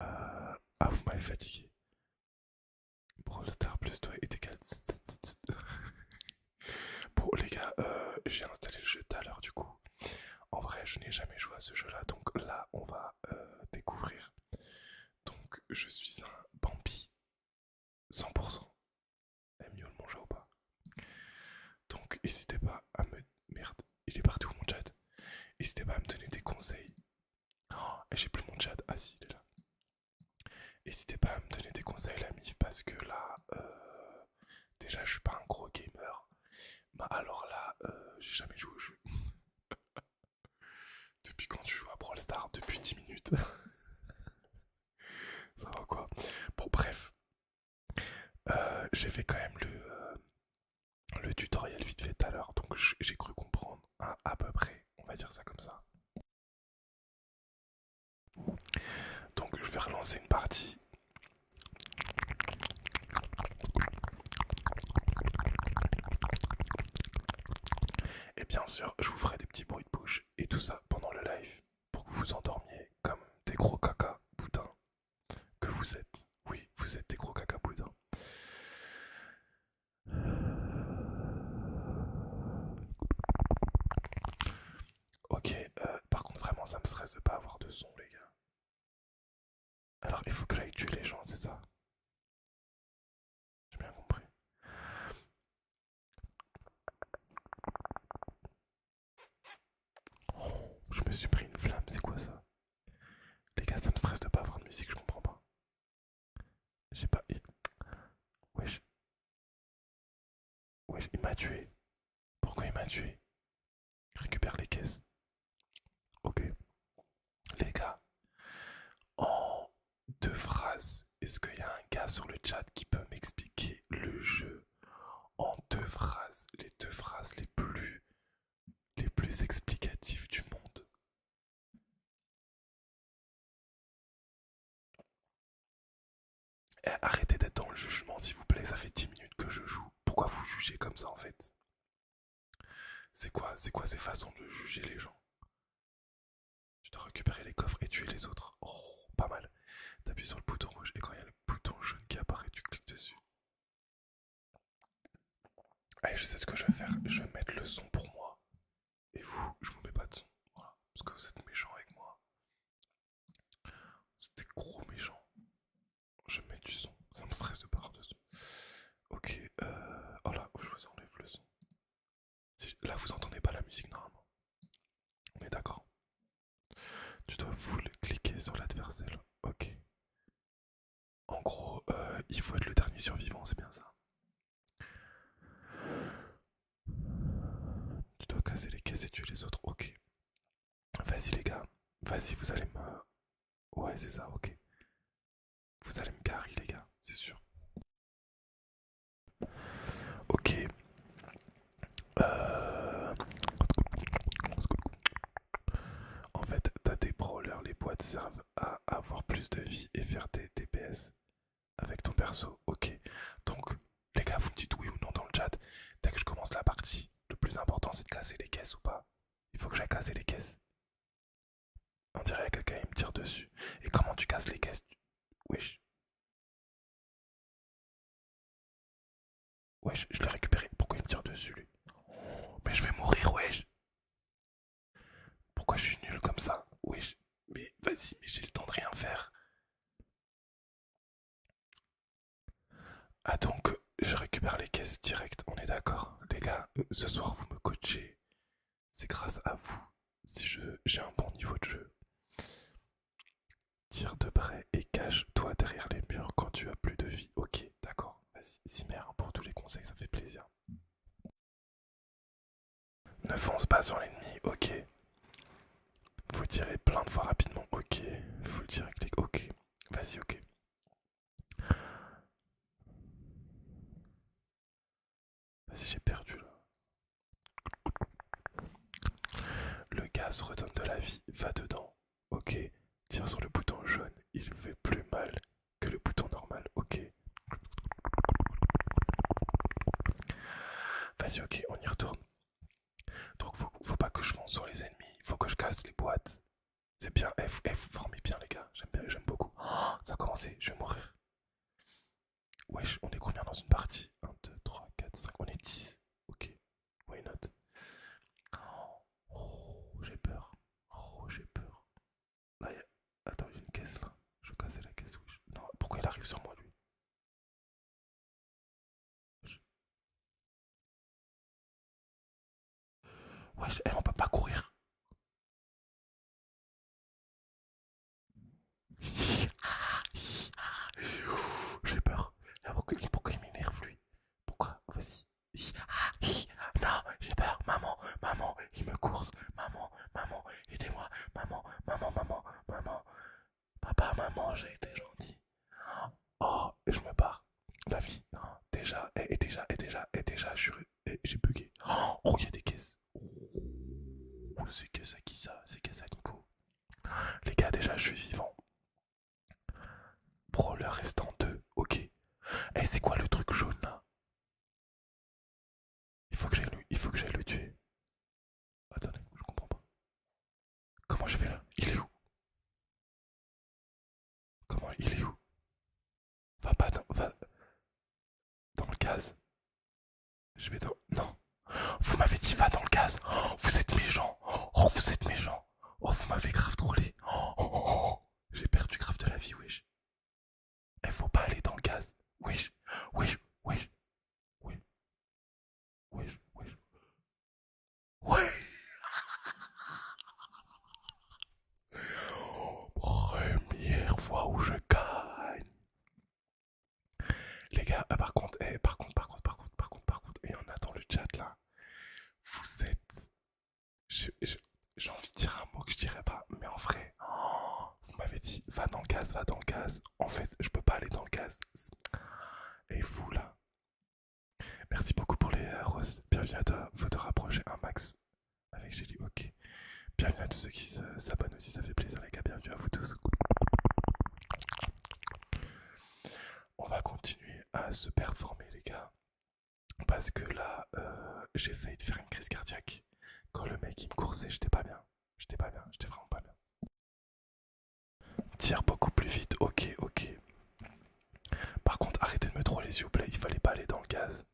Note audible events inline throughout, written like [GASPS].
Ah, vous m'avez fatigué. Brawl Star plus toi tes égal. [LAUGHS] bon, les gars, euh, j'ai installé le jeu tout à l'heure du coup. En vrai, je n'ai jamais joué à ce jeu là, donc là, on va euh, découvrir. Donc, je suis un Bambi 100%. Aime mieux le manger ou pas? Donc, n'hésitez pas à me. Merde, il est partout mon chat. N'hésitez pas à me donner des conseils Oh, j'ai plus mon chat. Ah si, il est là. N'hésitez pas à me donner des conseils, la MIF, parce que là, euh, déjà, je suis pas un gros gamer. Bah alors là, euh, j'ai jamais joué au jeu. [LAUGHS] depuis quand tu joues à Brawl Depuis 10 minutes. [LAUGHS] Ça va quoi Bon, bref. Euh, j'ai fait quand même le, le tutoriel vite fait tout à l'heure, donc j'ai cru comprendre à peu près, on va dire ça comme ça. Donc je vais relancer une partie. Et bien sûr, je vous ferai des petits bruits de bouche et tout ça pendant le live pour que vous vous endormiez comme des gros caca boudins que vous êtes. Oui, vous êtes des gros caca boudins. Ok, euh, par contre vraiment ça me stresse de pas avoir de son les gars. Alors il faut que j'aille tuer les gens, c'est ça J'ai bien compris. Oh, je me suis pris une flamme, c'est quoi ça les gars, ça me stresse de pas avoir de musique, je comprends pas. J'ai pas. Wesh. Wesh, il m'a tué. Pourquoi il m'a tué Récupère les caisses. Ok. Les gars, en deux phrases, est-ce qu'il y a un gars sur le chat qui peut m'expliquer le jeu en deux phrases, les deux phrases les plus les plus explicatives du monde eh, arrêtez d'être dans le jugement, s'il vous plaît. Ça fait 10 minutes que je joue. Pourquoi vous jugez comme ça, en fait C'est quoi, c'est quoi ces façons de juger les gens Tu dois récupérer les coffres et tuer les autres. Oh, pas mal. T'appuies sur le bouton rouge et quand il y a le bouton jaune qui apparaît, tu cliques dessus. Allez, je sais ce que je vais faire. Je vais mettre le son pour moi. Et vous, je vous mets pas de son. Voilà. Parce que vous êtes méchants avec moi. C'était gros méchant. Je mets du son. Ça me stresse de part Ok. Euh... Oh là, oh, je vous enlève le son. Là, vous entendez pas la musique normalement. On est d'accord. Tu dois vous cliquer sur l'adversaire. Ok. En gros, euh, il faut être le dernier survivant, c'est bien ça. Tu dois casser les caisses et tuer les autres, ok. Vas-y les gars, vas-y, vous allez me... Ouais, c'est ça, ok. Vous allez me garer les gars, c'est sûr. Ok. Euh, en fait, t'as des brawlers, les boîtes servent à avoir plus de vie et faire des DPS avec ton perso. Ok, donc les gars, vous me dites oui ou non dans le chat. Dès que je commence la partie, le plus important c'est de casser les caisses ou pas. Il faut que j'aille casser les caisses. On dirait que quelqu'un me tire dessus. Et comment tu casses les caisses Wesh. Wesh, je l'ai récupéré. Pourquoi il me tire dessus lui Mais je vais mourir, wesh. Pourquoi je suis nul comme ça Oui, mais vas-y, mais j'ai le temps de rien faire. Ah donc, je récupère les caisses directes, on est d'accord Les gars, ce soir vous me coachez. C'est grâce à vous si j'ai un bon niveau de jeu. Tire de près et cache-toi derrière les murs quand tu as plus de vie. Ok, d'accord. Vas-y, Zimmer, pour tous les conseils, ça fait plaisir. Ne fonce pas sur l'ennemi, ok. Vous tirez plein de fois rapidement, ok. Vous le tirez, clic, ok. Vas-y, ok. Vas-y, j'ai perdu là. Le gaz redonne de la vie, va dedans, ok. Tire sur le bouton jaune, il fait plus mal que le bouton normal. Ok. Vas-y, ok, on y retourne. Donc, faut, pas que je fonce sur les ennemis, faut que je casse les boîtes. C'est bien, F, F, formez bien, les gars. J'aime bien, j'aime beaucoup. Oh, ça a commencé, je vais mourir. Wesh, on est combien dans une partie 1, 2, 3, 4, 5, on est 10. Ok, why not Oh, j'ai peur. Oh, j'ai peur. Là, Attends, j'ai une caisse là. Je vais casser la caisse, Non, pourquoi il arrive sur moi lui Ouais, on peut pas courir. [LAUGHS] J'ai peur. Pourquoi, pourquoi il m'énerve lui Pourquoi Vas-y non, j'ai peur. Maman, maman, il me course. Maman, maman, aidez-moi. Maman, maman, maman, maman. Papa, maman, j'ai été gentil. Oh, et je me pars. La vie, hein, déjà, et, et déjà, et déjà, et déjà, j'ai bugué. Oh, il y a des caisses. Oh, c'est que ça, qui ça C'est que ça, Nico Les gars, déjà, je suis vivant. le restant deux, ok. et eh, c'est quoi le truc jaune là il faut que j'aille le, il faut que le tuer. Attendez, je comprends pas. Comment je vais là Il est où Comment il est où Va pas dans, va dans le gaz. Je vais dans, non. Vous m'avez dit va dans le gaz. vous êtes méchant. Oh, vous êtes méchant. Oh, vous m'avez grave drôlé oh, oh, oh, J'ai perdu grave de la vie, wesh ne faut pas aller dans le gaz. Oui. Oui. Oui. Oui. Oui. Oui. Oui. Première fois où je gagne. Les gars, ah, par contre, eh, par contre, par contre, par contre, par contre, par contre, il y en a dans le chat là. Vous êtes j'ai envie de dire un mot que je dirais pas, mais en vrai, vous m'avez dit va dans le gaz, va dans le gaz. En fait, je peux pas aller dans le gaz. Et fou, là. Merci beaucoup pour les euh, roses. Bienvenue à toi. Faut te rapprocher un max avec Jelly. Ok. Bienvenue à tous ceux qui euh, s'abonnent aussi. Ça fait plaisir, les gars. Bienvenue à vous tous. On va continuer à se performer, les gars. Parce que là, euh, j'ai failli faire une crise cardiaque. Quand le mec il me coursait, j'étais pas bien. J'étais pas bien, j'étais vraiment pas bien. Tire beaucoup plus vite, ok, ok. Par contre, arrêtez de me trop les yeux, plaît, il fallait pas aller dans le gaz.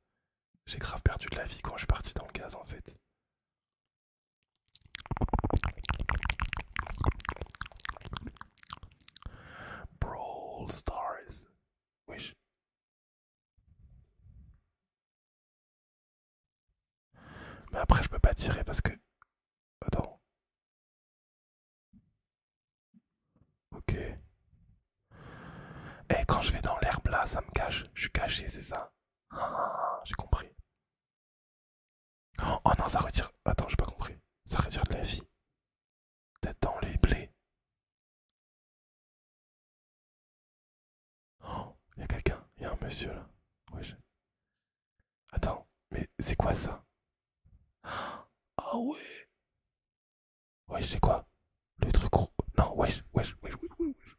J'ai grave perdu de la vie quand je suis parti dans le gaz en fait. Brawl Stars. Wesh, mais après, je peux pas tirer parce que. Attends. Ok. Eh, quand je vais dans l'herbe là, ça me cache. Je suis caché, c'est ça. Ah, ah, ah, j'ai compris. Oh, oh non, ça retire. Attends, j'ai pas compris. Ça retire de la vie. T'attends les blés. Oh, il y a quelqu'un, Y'a y a un monsieur là. Wesh. Attends, mais c'est quoi ça Ah ouais Ouais, c'est quoi Le truc gros. Non, wesh, wesh, wesh, wesh, wesh.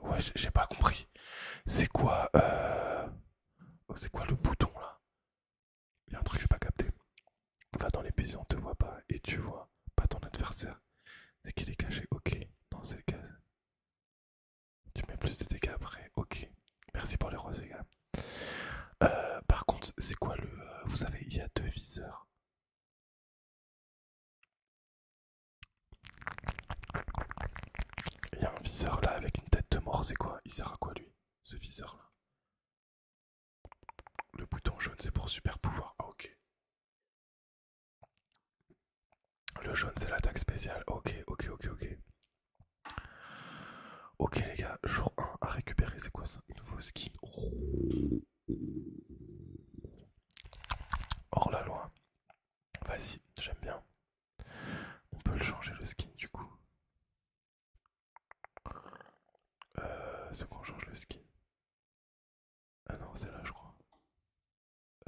Ouais, j'ai pas compris. C'est quoi, euh, C'est quoi le bouton là il y a un truc que j'ai pas capté. Va dans les on te voit pas et tu vois pas ton adversaire. C'est qu'il est caché, ok, dans ces cases. Tu mets plus de dégâts après, ok. Merci pour les roses, les euh, par contre, c'est quoi le. Euh, vous savez, il y a deux viseurs. Il y a un viseur là avec une tête de mort, c'est quoi Il sert à quoi lui ce viseur-là. Le bouton jaune, c'est pour super pouvoir. Ah, ok. Le jaune, c'est l'attaque spéciale. Ok, ok, ok, ok. Ok, les gars, jour 1 à récupérer. C'est quoi ça Nouveau skin. Hors la loi. Vas-y, j'aime bien. On peut le changer le skin du coup. Euh, ce qu'on change le skin. Ah non, c'est là, je crois.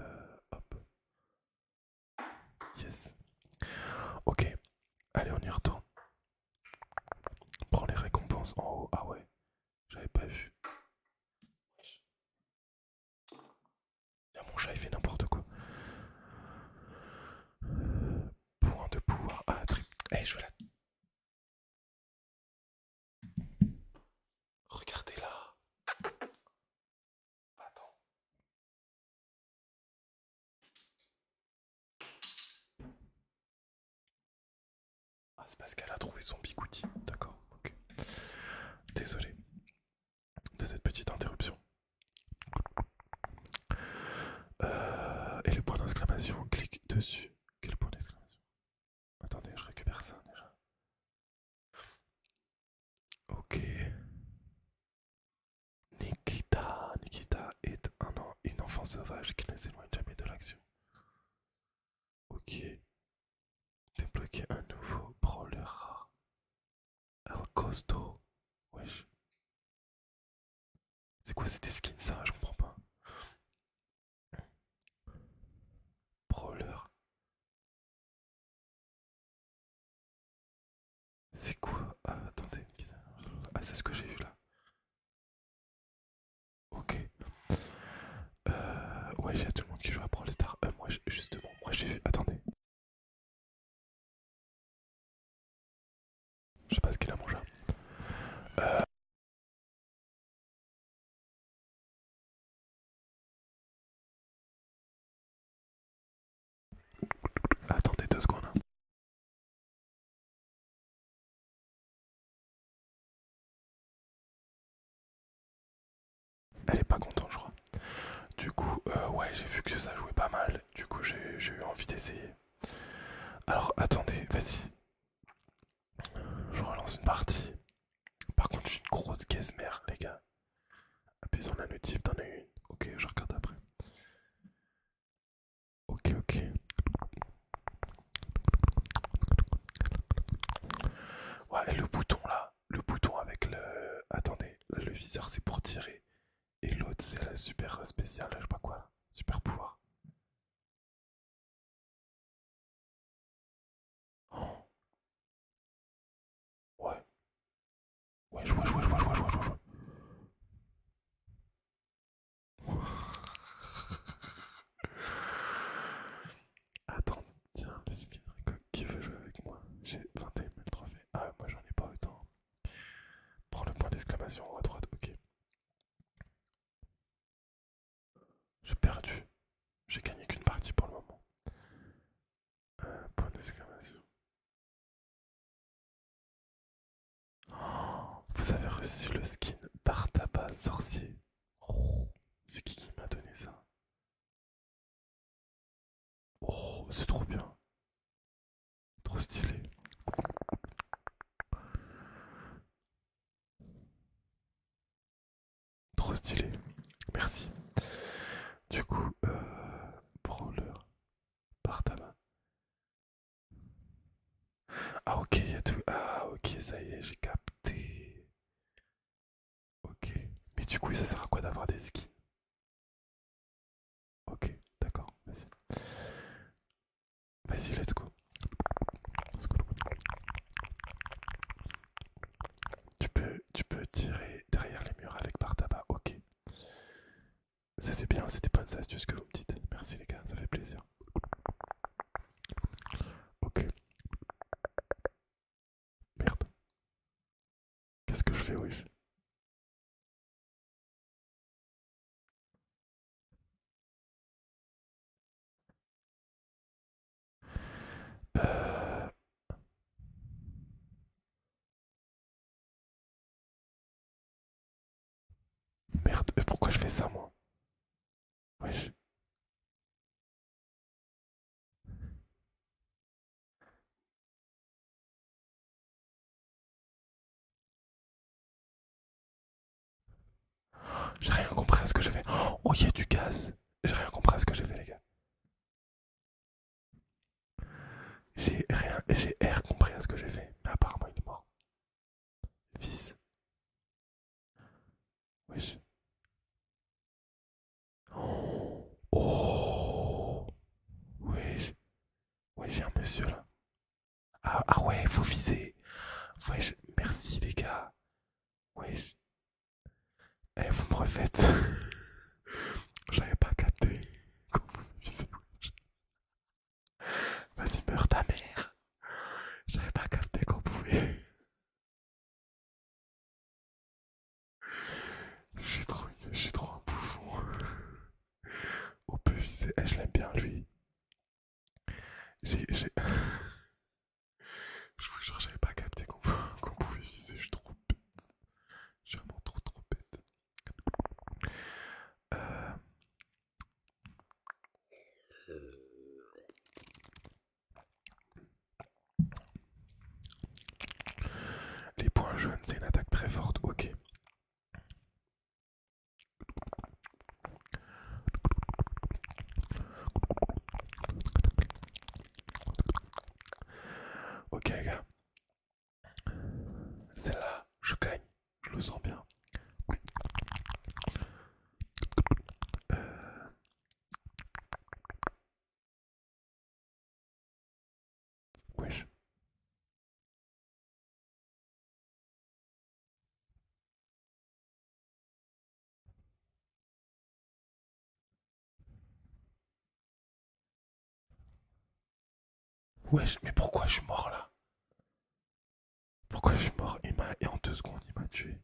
Euh, hop. Yes. Ok. Allez, on y retourne. Prends les récompenses en haut. Ah ouais, j'avais pas vu mon chat, il fait n'importe quoi. Point de pouvoir. Ah, trip. Eh, je vois la. Regardez là. Attends. Ah, c'est parce qu'elle a trouvé son bigouti. D'accord, ok. Désolé de cette petite interruption. Euh, et le point d'exclamation, clique dessus. Quel point d'exclamation Attendez, je récupère ça déjà. Ok. Nikita. Nikita est un, enfant sauvage qui ne s'éloigne jamais de l'action. Ok. Débloquer un nouveau brawler rare. El Costo. Wesh. C'est quoi cette skins ça Je comprends pas. Brawler. C'est quoi ah, attendez. Ah c'est ce que j'ai vu là. Ok. Euh, ouais, j'ai tout le monde qui joue à Brawl Star. Euh, moi, justement, moi j'ai vu. Attendez. Je sais pas ce qu'il a mangé. Euh. Attendez deux secondes. Elle est pas contente, je crois. Du coup, euh, ouais, j'ai vu que ça jouait pas mal. Du coup, j'ai eu envie d'essayer. Alors, attendez, vas-y. Je relance une partie. Par contre, je une grosse guesmère, les gars. Appuie sur la notif, t'en as une. Ok, je regarde après. Ok, ok. Ouais, et le bouton là, le bouton avec le. Attendez, le viseur c'est pour tirer. Et l'autre, c'est la super spéciale, je sais pas quoi, super pouvoir. Oh. Ouais. Ouais, je vois, je vois, je vois, je vois, je vois, je vois. [LAUGHS] Attends, tiens, le skin qui veut jouer avec moi J'ai 21 000 trophées. Ah, moi j'en ai pas autant. Prends le point d'exclamation en haut à droite, ok. J'ai perdu. J'ai gagné qu'une partie pour le moment. point d'exclamation. Oh, vous avez reçu le skin d'Artaba sorcier. Oh, c'est qui qui m'a donné ça Oh, c'est trop bien. Trop stylé. Trop stylé. Merci. Du coup, euh, prends-le ta Ah ok, il y a tout. Ah ok, ça y est, j'ai capté. Ok. Mais du coup, ça sert à quoi d'avoir des skis Ok, d'accord, vas-y. Vas-y, let's go. Tu peux, tu peux tirer derrière les murs avec par tabac, ok. Ça c'est bien, c'est des bonnes astuces que vous me dites. Merci les gars, ça fait plaisir. Ok. Merde. Qu'est-ce que je fais, wesh euh... Merde, pourquoi je fais ça moi Wesh. J'ai rien compris à ce que j'ai fait. Oh, il y a du gaz. J'ai rien compris à ce que j'ai fait, les gars. J'ai rien, j'ai rien compris à ce que j'ai fait, mais apparemment il est mort. Vise. Wesh. Oh. Wesh. Ouais, j'ai un monsieur là. Ah, ah ouais, vous visez. Ouais, merci les gars. Ouais. Eh, vous me refaites. [LAUGHS] J'avais pas capté [LAUGHS] quand vous Vas-y, meurs ta mère. J'avais pas capté qu'on pouvait. [LAUGHS] J'ai trop, j'ai trop un bouffon. On peut viser, je l'aime bien lui. J'ai. [LAUGHS] je vous jure, j'avais pas capté qu'on [LAUGHS] pouvait viser, je suis trop bête. Je suis vraiment trop trop bête. Euh. Les points jaunes, c'est une attaque très forte, ok. Ok les gars, celle-là, je gagne, je le sens bien. Euh. Wesh. Wesh, mais pourquoi je suis mort là Pourquoi je suis mort Et en deux secondes, il m'a tué.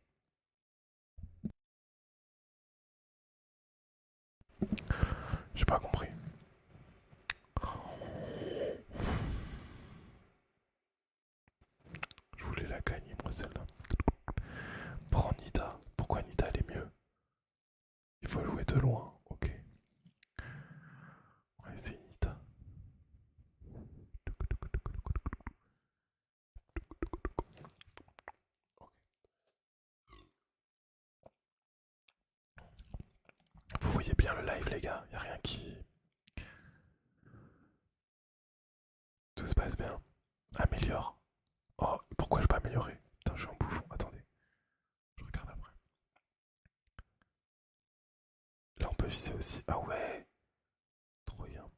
J'ai pas compris. Je voulais la gagner, moi, celle-là. Prends Nita. Pourquoi Nita, est mieux Il faut jouer de loin, ok. On va essayer Nita. Vous voyez bien le live les gars, y a rien qui... Tout se passe bien. Améliore. Oh, pourquoi je peux améliorer Putain, je suis un bouffon, attendez. Je regarde après. Là on peut viser aussi. Ah ouais Trop bien.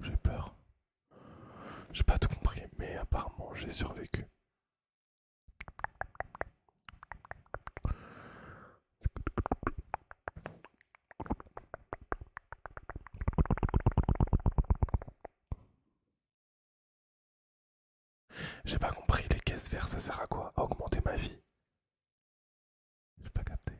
J'ai peur. J'ai pas tout compris, mais apparemment j'ai survécu. J'ai pas compris, les caisses vertes, ça sert à quoi augmenter ma vie J'ai pas capté.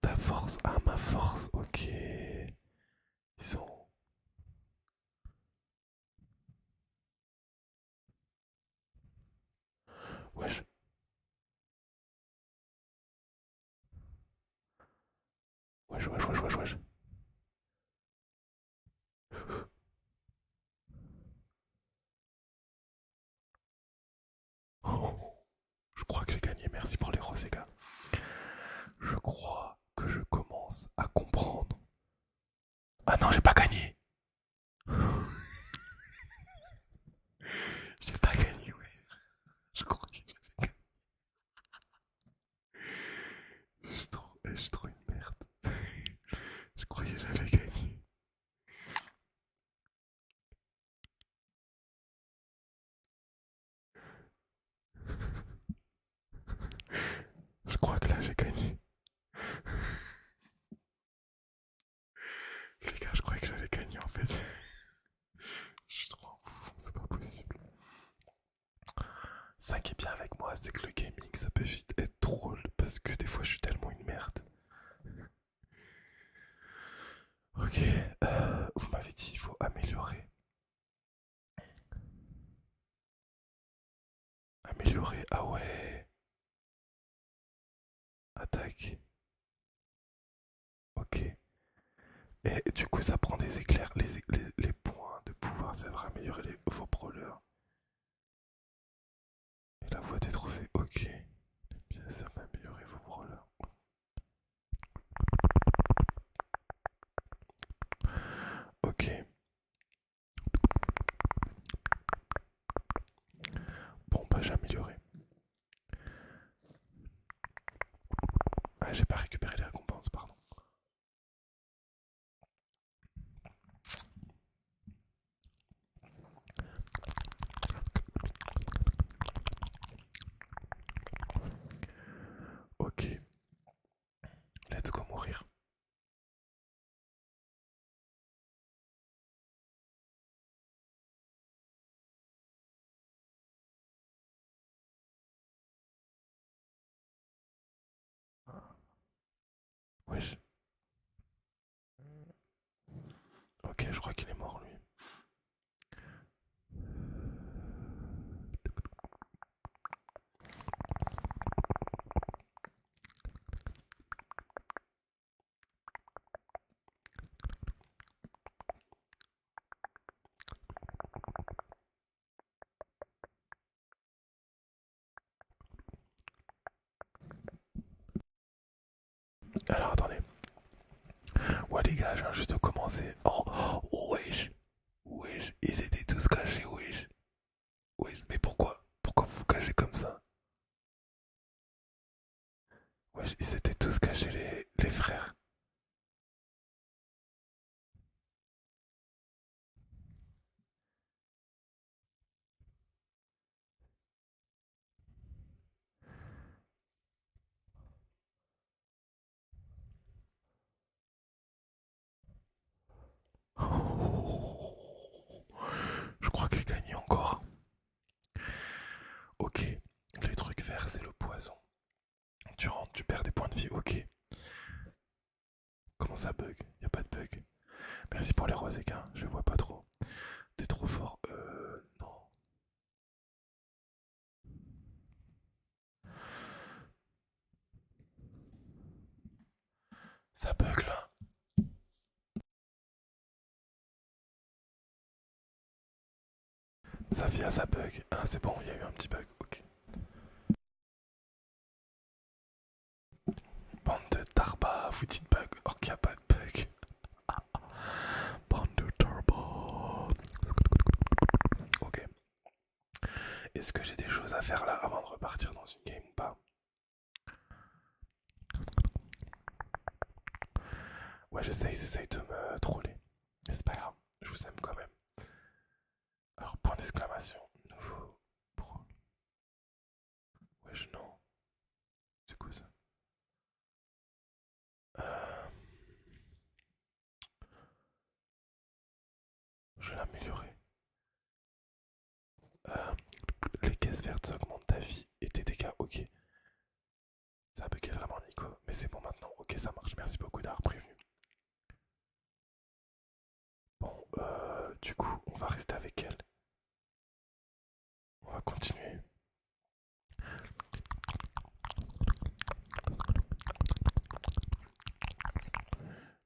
Ta force, ah ma force, ok. Ils sont... Wesh. Wesh, wesh, wesh, wesh, wesh. [GASPS] je crois que j'ai gagné, merci pour les roses, les gars. Je crois que je commence à comprendre ah non, j'ai pas gagné. [LAUGHS] j'ai pas gagné, ouais. Je croyais que j'avais gagné. Je je trop une merde. [LAUGHS] je croyais j'avais gagné. Je crois que là j'ai gagné. Les gars, je croyais que j'allais gagné en fait. je suis trop en c'est pas possible. Ça qui est bien avec moi, c'est que le gaming ça peut vite être drôle parce que des fois je suis tellement une merde. Ok, euh, vous m'avez dit il faut améliorer Améliorer, ah ouais. Attaque. Ok. Et du coup, ça prend des éclairs, les, points de pouvoir, ça va améliorer vos brawlers. Et la voix des trophées, ok. Bien, ça va améliorer vos brawlers. Ok. Bon, pas j'ai amélioré. Ah, j'ai pas récupéré les récompenses, pardon. Ok, let's go mourir. Oui. Ok, je crois qu'il est mort lui. Alors attendez. Ouais les gars, je viens juste de commencer. Oh, Où oh, wesh. Wesh, ils étaient tous cachés, wesh. Oui, mais pourquoi Pourquoi vous vous cachez comme ça Ouais, ils étaient tous cachés, les frères je crois que j'ai gagné encore. Ok, les trucs verts, c'est le poison. Tu rentres, tu perds des points de vie, ok. Comment ça bug Y'a a pas de bug. Merci pour les roses équins, je vois pas trop. T'es trop fort. Euh non. Ça bug là. Ça Safia, ça bug. Ah, c'est bon, il y a eu un petit bug. Ok. Bande de tarba, vous dites bug. Or oh, qu'il n'y a pas de bug. [LAUGHS] Bande de tarba. Ok. Est-ce que j'ai des choses à faire là avant de repartir dans une game ou pas Ouais, j'essaye, j'essaye de me troller. Mais c'est pas grave, je vous aime quand même. Alors, point d'exclamation, nouveau pro. Wesh, non. C'est quoi ça euh. Je vais l'améliorer. Euh, les caisses vertes, augmentent ta vie et tes dégâts, ok. Ça a bugué vraiment Nico, mais c'est bon maintenant, ok ça marche, merci beaucoup d'avoir prévenu. Bon, euh, du coup, on va rester avec elle. On va continuer.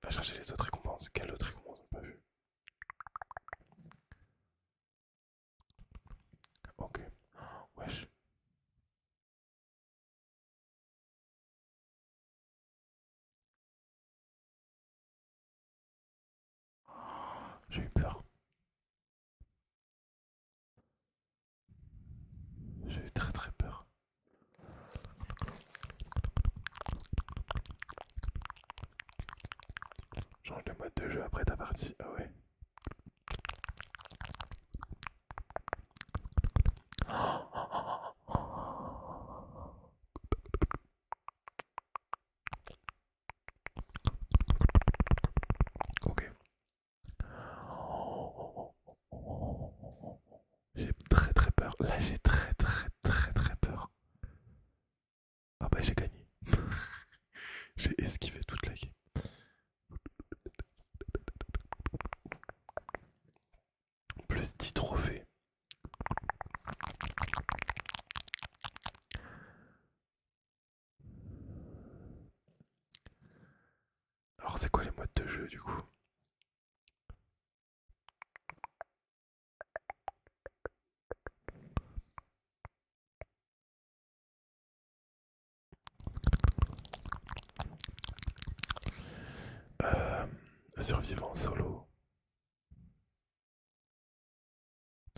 Va chercher les autres récompenses. Quelle autre récompense on n'a pas vu Ok. wesh. J'ai eu peur. J'ai eu très très peur. Change de mode de jeu après ta partie. Ah ouais. [GASPS] Ok. J'ai très très peur. Là, j'ai très très très très peur. Ah bah j'ai gagné. [LAUGHS] j'ai esquivé toute la game. Plus 10 trophées. Alors c'est quoi les modes de jeu du coup euh, Survivant solo.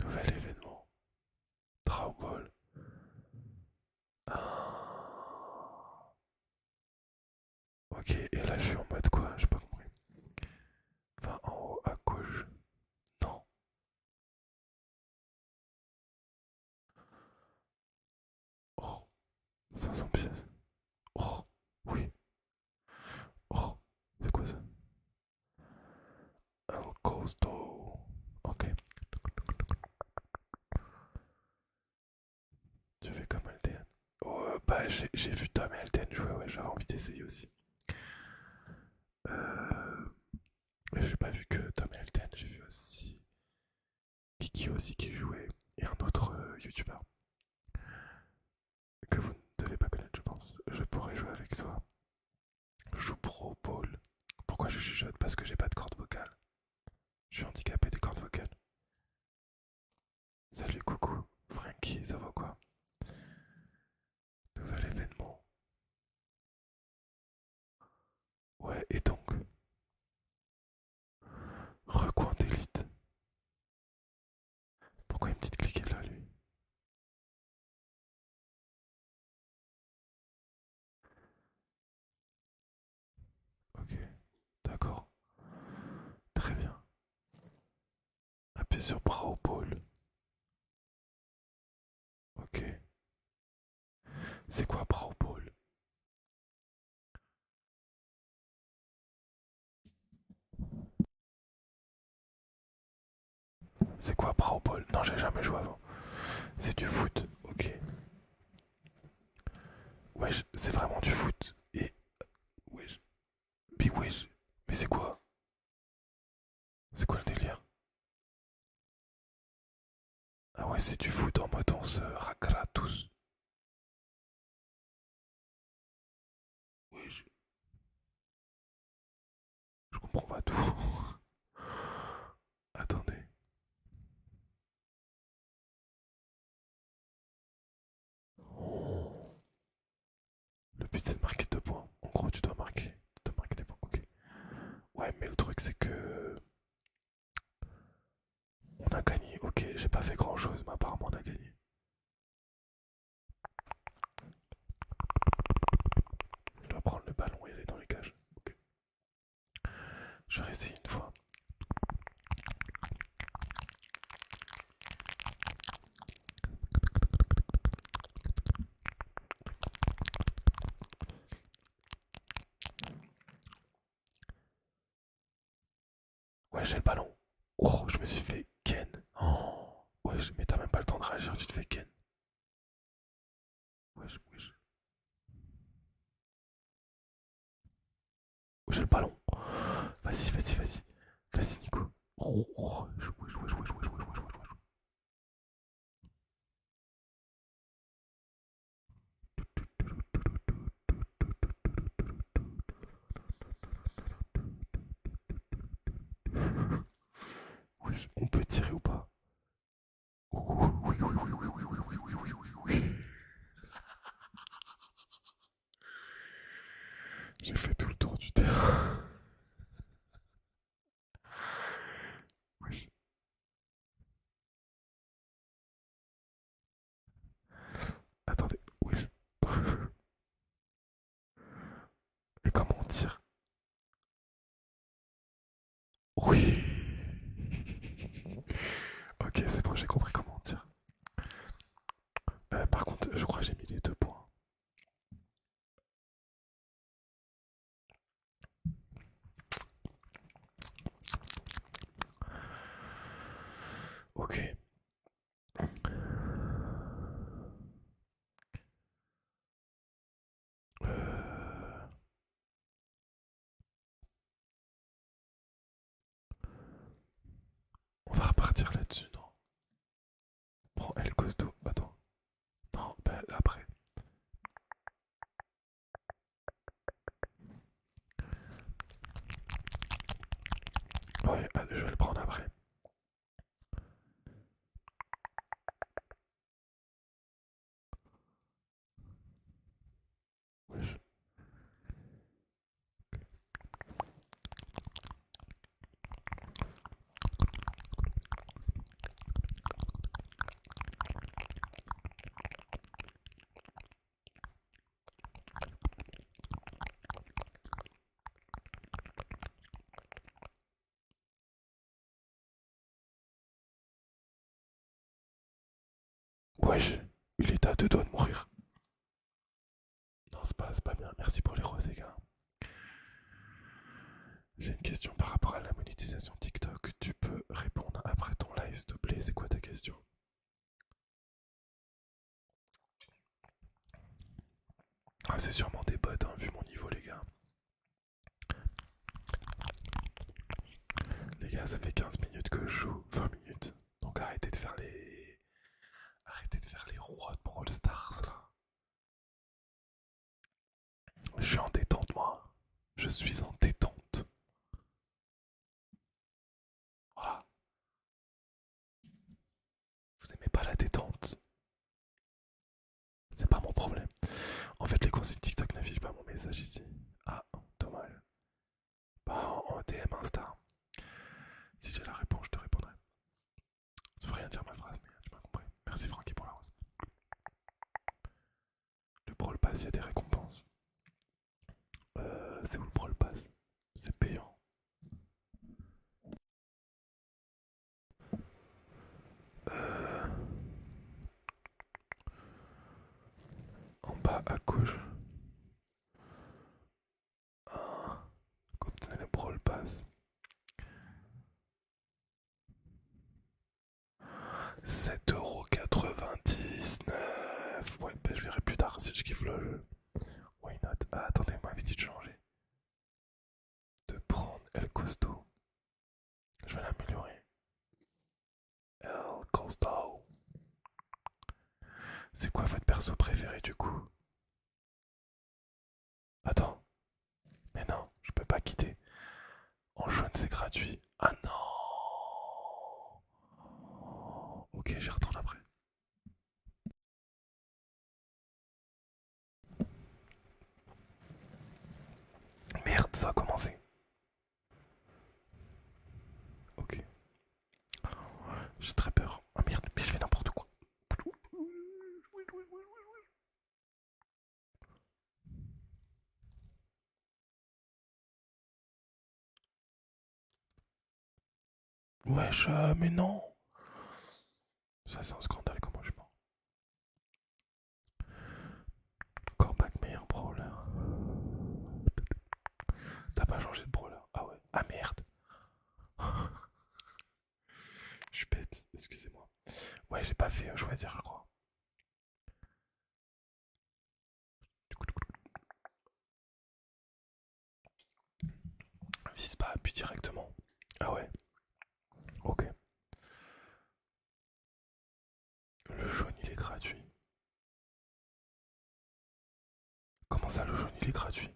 Nouvel événement. Draw Ok, et là je suis en mode quoi J'ai pas compris. Enfin, en haut à gauche. Non. Oh, 500 pièces. Oh, oui. Oh, c'est quoi ça un Costo. Ok. Tu fais comme LTN Oh, bah, j'ai vu Tom et jouer, j'avais envie d'essayer aussi. Euh, j'ai pas vu que Tom et j'ai vu aussi Kiki aussi qui jouait et un autre euh, YouTuber youtubeur que vous ne devez pas connaître, je pense. Je pourrais jouer avec toi. Je joue Pro Ball. Pourquoi je suis chuchote Parce que j'ai pas de cordes vocales. Je suis handicapé des cordes vocales. Salut, coucou, Frankie, ça va quoi Nouvel événement. Ouais, et donc Recoin d'élite. Pourquoi il petite dit de cliquer là, lui Ok, d'accord. Très bien. Appuyez sur bras bowl. Ok. C'est quoi bras Bowl C'est quoi bras Non, j'ai jamais joué avant. C'est du foot, ok. Ouais, c'est vraiment du foot. Et. Wesh. Big Mais c'est quoi C'est quoi le délire Ah ouais, c'est du fou. Dans mode danseur à gratus. tous. Je comprends pas tout. [LAUGHS] Attendez. Le but c'est de marquer deux points. En gros, tu dois marquer, dois marquer des points. Ok. Ouais, mais le truc c'est que on a gagné. Ok, j'ai pas fait grand chose, mais apparemment on a gagné. Je dois prendre le ballon et aller dans les cages. Ok. Je vais une fois. Ouais, j'ai le ballon. Oh, je me suis fait ken. Oh, ouais, mais t'as même pas le temps de réagir, tu te fais ken. Wesh, wesh j'ai le ballon. Vas-y, vas-y, vas-y. Vas-y, Nico. On peut tirer ou pas j'ai fait tout le tour du terrain. oui. Attendez, oui. Et comment on tire Oui. Ok, c'est bon, j'ai compris comment on euh, par contre, je crois j'ai mis les deux points. Ok. Euh. On va repartir là-dessus, non Prends El d'eau attends. Non, ben après. Ouais, ah, je vais le prendre après. Wesh, il est à deux doigts de mourir. Non, c'est passe pas bien. Merci pour les roses, les gars. J'ai une question par rapport à la monétisation TikTok. Tu peux répondre après ton live, s'il te plaît. C'est quoi ta question ah, C'est sûrement des bots, hein, vu mon niveau, les gars. Les gars, ça fait 15 minutes que je joue, 20 minutes. Donc arrêtez de faire les. Arrêtez de faire les rois de Brawl Stars là. Je suis en détente moi. Je suis en détente. Voilà. Vous aimez pas la détente C'est pas mon problème. En fait les consignes TikTok n'affichent pas mon message ici. Ah, dommage. Bah, en DM Insta. Si j'ai la réponse, je te répondrai. Ça veut rien dire ma phrase, mais tu m'as compris. Merci Francky pour la rose. Le Brawl Pass, il y a des récompenses. Euh, c'est où le Brawl Pass C'est payant. Euh, en bas à gauche. Ah, comme le Sept Ouais, ben, je verrai plus tard si je kiffe le jeu. Why not? Ah, attendez, moi, dit de changer. De prendre El Costo. Je vais l'améliorer. El Costo. C'est quoi votre perso préféré du coup? Attends. Mais non, je peux pas quitter. En jaune, c'est gratuit. Ah non Ok, j'y retourne après. Merde, ça a commencé. Ok. J'ai très peur. Ah merde, mais je fais n'importe quoi. Wesh, euh, mais non Ça c'est un scandale, comment je mens Corbac meilleur brawler. T'as pas changé de brawler Ah ouais, ah merde je suis bête, excusez-moi. Ouais, j'ai pas fait choisir, je crois. Vise pas, appuie directement. Ah ouais. Ok. Le jaune, il est gratuit. Comment ça, le jaune, il est gratuit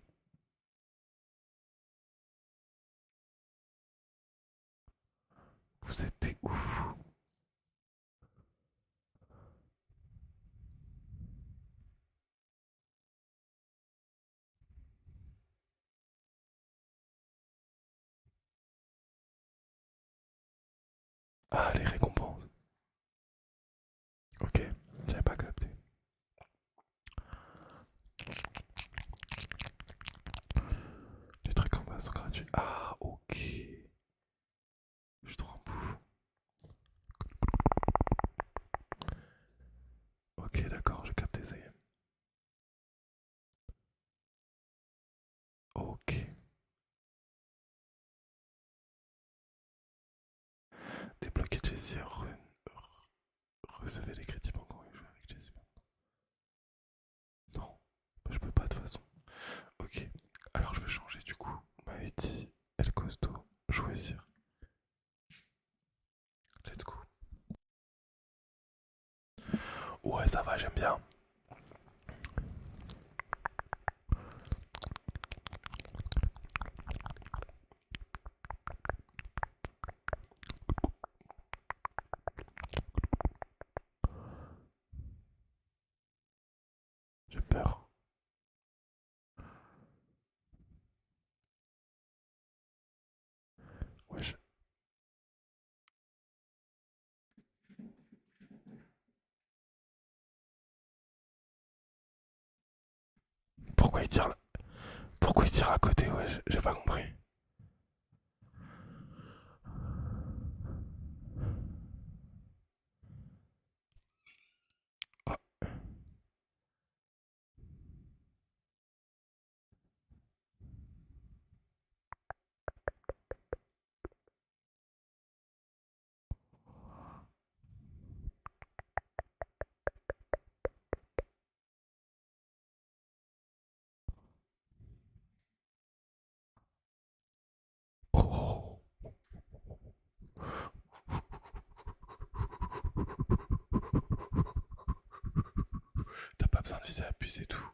Vous êtes des Ah, les récompenses. Ok, j'ai pas capté. Les trucs en bas sont gratuits. Ah, ok. Je suis trop en bouffe. Ok, d'accord, je capte ça y Ok. Débloquer Jessie, recevez les crédits bancaires et jouer avec Jessie Non, je peux pas de toute façon. Ok, alors je vais changer du coup. ma m'avait El Costo, choisir. Let's go. Ouais, ça va, j'aime bien. J'ai peur. Pourquoi il tire là Pourquoi il tire à côté Ouais, j'ai pas compris. T'as pas besoin de puiser à tout.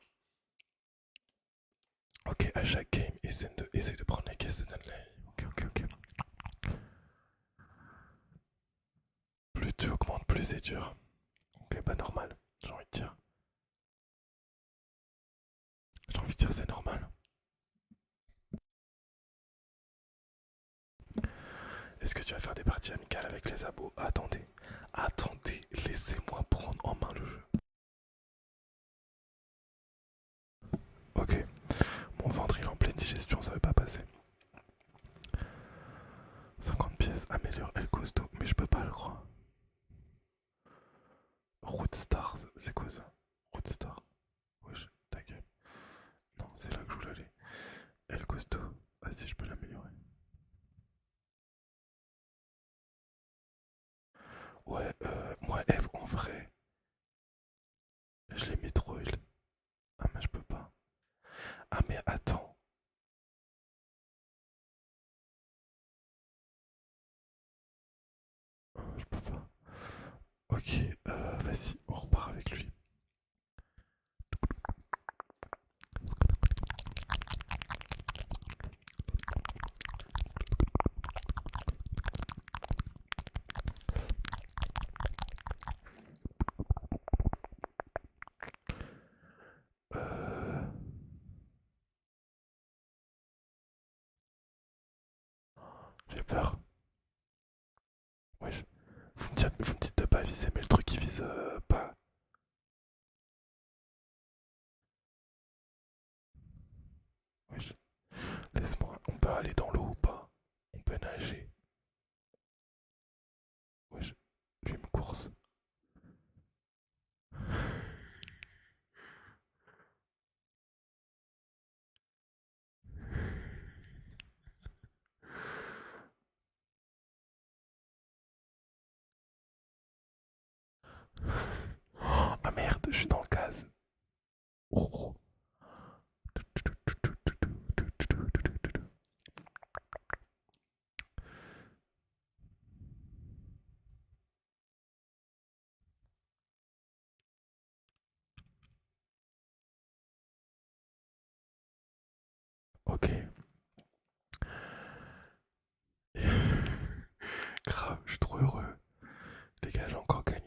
Ok, à chaque game, essaye de, essaie de prendre les caisses de Dunley. Ok, ok, ok. Plus tu augmentes, plus c'est dur. Ok, bah normal, j'ai envie de dire. J'ai envie de dire c'est normal. Est-ce que tu vas faire des parties amicales avec les abos Attendez, attendez, laissez-moi prendre en main le jeu. Ok, mon ventre est en pleine digestion, ça ne va pas passer. 50 pièces améliore El costaud mais je peux pas, le croire Route c'est quoi ça Route Star Wesh, ta gueule. Non, c'est là que je voulais aller. El costaud ah si, je peux l'améliorer. Ouais, euh, moi, Eve, en vrai, je l'ai mis trop. il... ah mais je peux pas. Ah mais attends. Je peux pas. Ok, euh, vas-y, on repart avec lui. Euh. J'ai peur. vous, me dites, pas viser, mais le truc il vise euh, pas. Laisse-moi, on peut aller dans l'eau ou pas On peut nager je j'ai une course. oh, [LAUGHS] ah merde, je suis dans le gaz. Ok. [LAUGHS] Grave, je suis trop heureux. Les gars, j'ai encore gagné.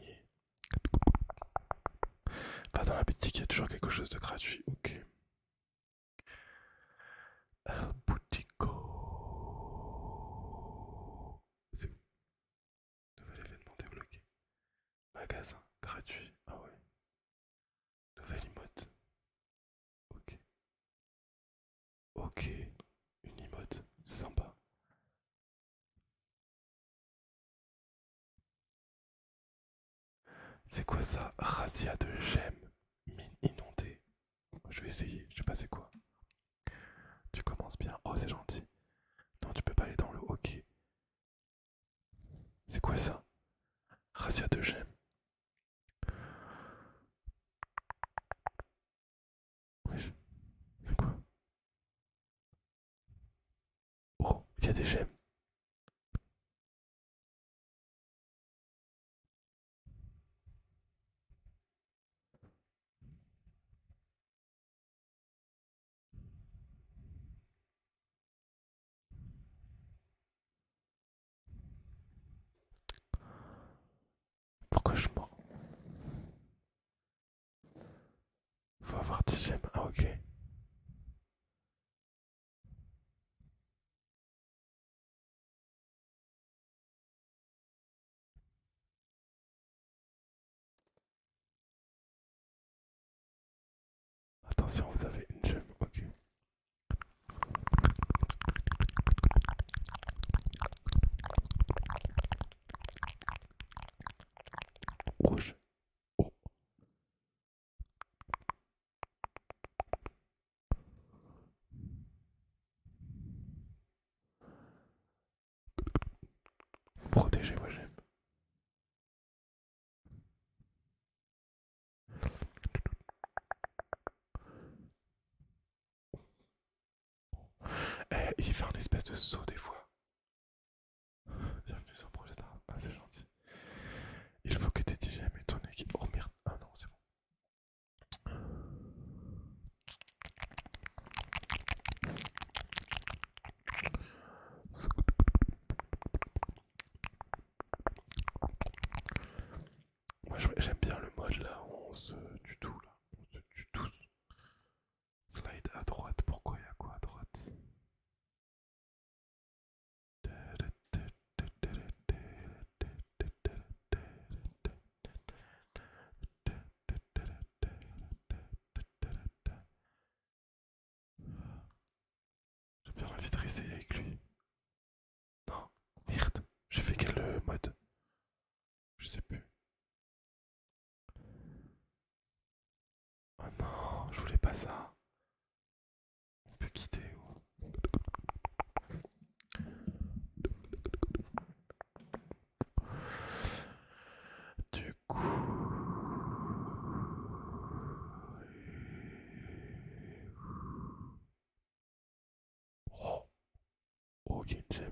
Enfin, dans la boutique, il y a toujours quelque chose de gratuit. Ok. Un Boutico. C'est où Nouvel événement débloqué. Magasin gratuit. Ah ouais. Nouvelle emote. Ok. Ok. Une emote. Sympa. C'est quoi ça Razia de gemme mine inondée. Je vais essayer, je sais pas c'est quoi. Tu commences bien. Oh, c'est gentil. Non, tu peux pas aller dans le hockey. C'est quoi ça Razia de gemme. C'est quoi Oh, il y a des j'aime. Pourquoi je mords faut avoir 10 gemmes. Ah, ok. Attention, vous avez une gemme. Ok. Rouge. Oh. protégez moi j'aime. Eh, il fait un espèce de saut des fois. Bienvenue sur Projet ah c'est gentil. Il faut que tes TGM et qui... équipe. Oh, ah non, c'est bon. Moi j'aime bien le mode là où on se tout là, on se du tout Slide à droite, pourquoi il y a quoi à droite j'ai bien envie de réessayer avec lui. Non, merde, j'ai fait quel euh, mode Je sais plus. Oh non, je voulais pas ça. On peut quitter. Du coup, oh, ok, j'aime.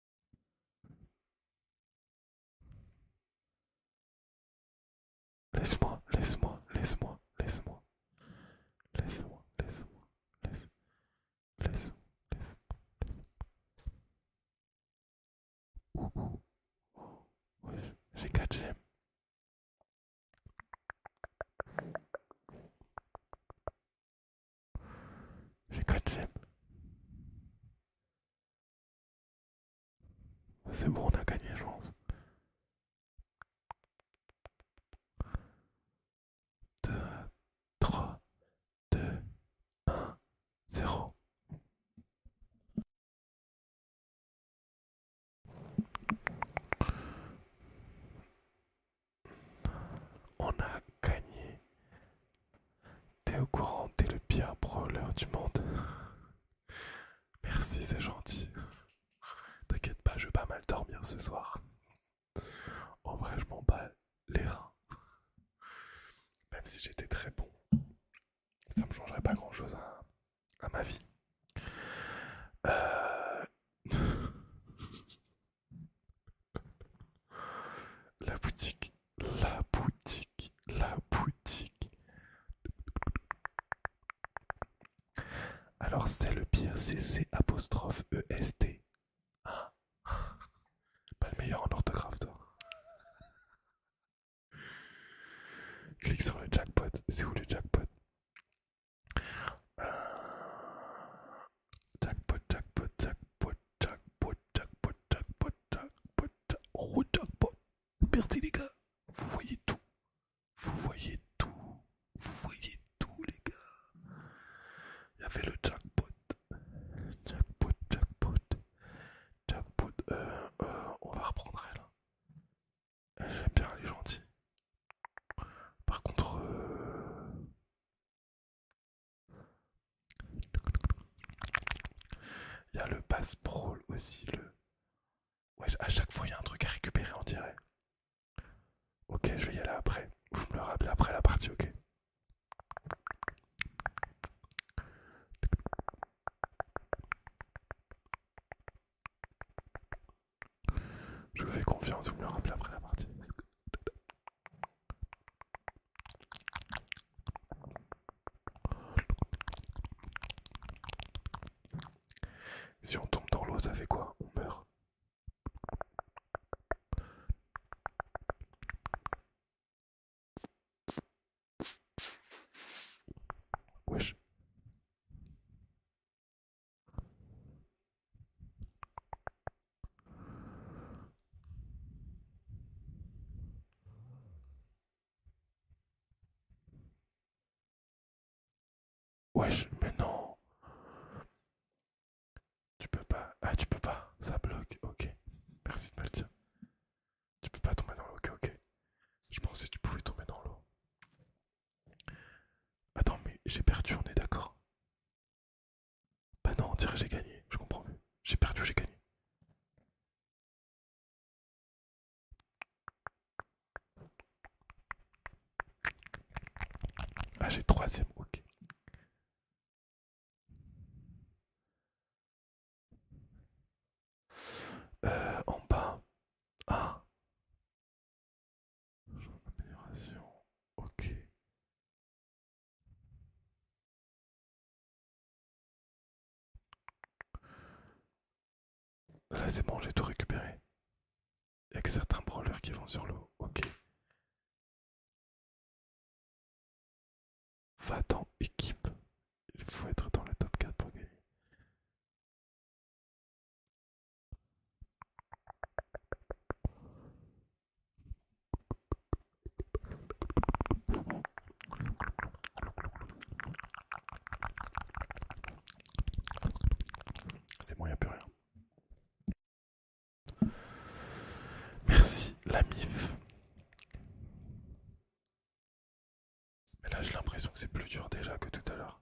Laisse-moi, laisse-moi, laisse-moi, laisse-moi. Laisse-moi, laisse-moi, laisse. Laisse-moi, laisse-moi. Oh, j'ai j'ai 4 gènes. C'est bon, on a gagné, je pense. 2, 3, 2, 1, 0. On a gagné. T'es au courant, t'es le pire brawler du monde. [LAUGHS] Merci, c'est gentil. [LAUGHS] T'inquiète pas, je vais pas mal dormir ce soir. En vrai, je m'en bats les reins. [LAUGHS] Même si j'étais très bon, ça me changerait pas grand chose à, ma vie. Euh, la boutique, la boutique, la boutique. Alors c'est le pire, c'est c'est apostrophe EST. Hein? [LAUGHS] Pas le meilleur en orthographe toi. [LAUGHS] Clique sur le jackpot, c'est où le jackpot euh, Jackpot, jackpot, jackpot, jackpot, jackpot, jackpot, jackpot, oh, jackpot. Merci les gars, vous voyez tout. Vous voyez tout. Vous voyez tout les gars. y avait le jackpot. Jackpot, jackpot. Jackpot. Euh, euh on va reprendre elle. Hein. J'aime bien, les est Par contre... Euh, il y a le pass prol aussi, le. Ouais, à chaque fois il y a un truc à récupérer, on dirait. Ok, je vais y aller après. Vous me le rappelez après la partie, ok Je vous fais confiance, vous me le rappelez après la partie. Si on tombe dans l'eau, ça fait quoi On meurt. Wesh, mais non. Tu peux pas. Ah, tu peux pas. Ça bloque. Ok. Merci de me Tu peux pas tomber dans l'eau. Ok, ok. Je pensais que tu pouvais tomber dans l'eau. Attends, mais j'ai perdu, on est d'accord ben non, on dirait que j'ai gagné, je comprends plus. J'ai perdu, j'ai gagné. Ah j'ai troisième, ok. Euh, en bas. Ah. Amélioration. Ok. Là c'est bon, j'ai tout récupéré. Il a que certains brawlers qui vont sur l'eau. Ok. Va dans équipe. Il faut être dans le top 4 pour gagner. C'est bon, il n'y a plus rien. Merci, la MIF. Mais là, j'ai l'impression que c'est plus dur déjà que tout à l'heure.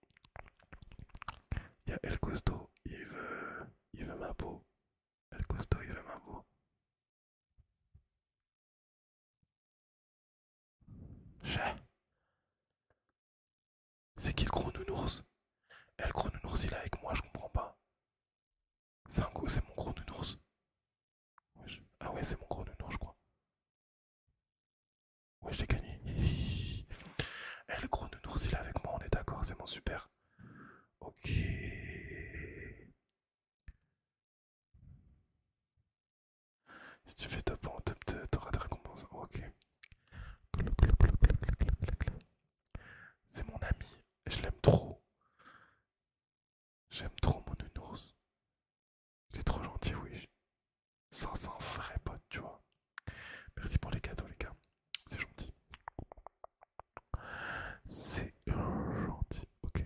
Il y a El Costo, il veut, il veut ma peau. El Costo, il veut ma peau. C'est qui le gros nounours El eh, gros nounours, il est avec moi, je comprends pas. C'est un c'est mon gros nounours. Ah ouais, c'est mon gros nounours, je crois. Ouais, j'ai gagné. Eh, le gros nounours, il est avec moi, on est d'accord, c'est mon super. Ok. Si tu fais top 1, t'auras des récompenses. Ok. C'est mon ami, je l'aime trop. J'aime trop mon nounours. C'est trop gentil, oui. Ça, un vrai potes, tu vois. Merci pour les cadeaux, les gars. C'est gentil. C'est gentil, ok.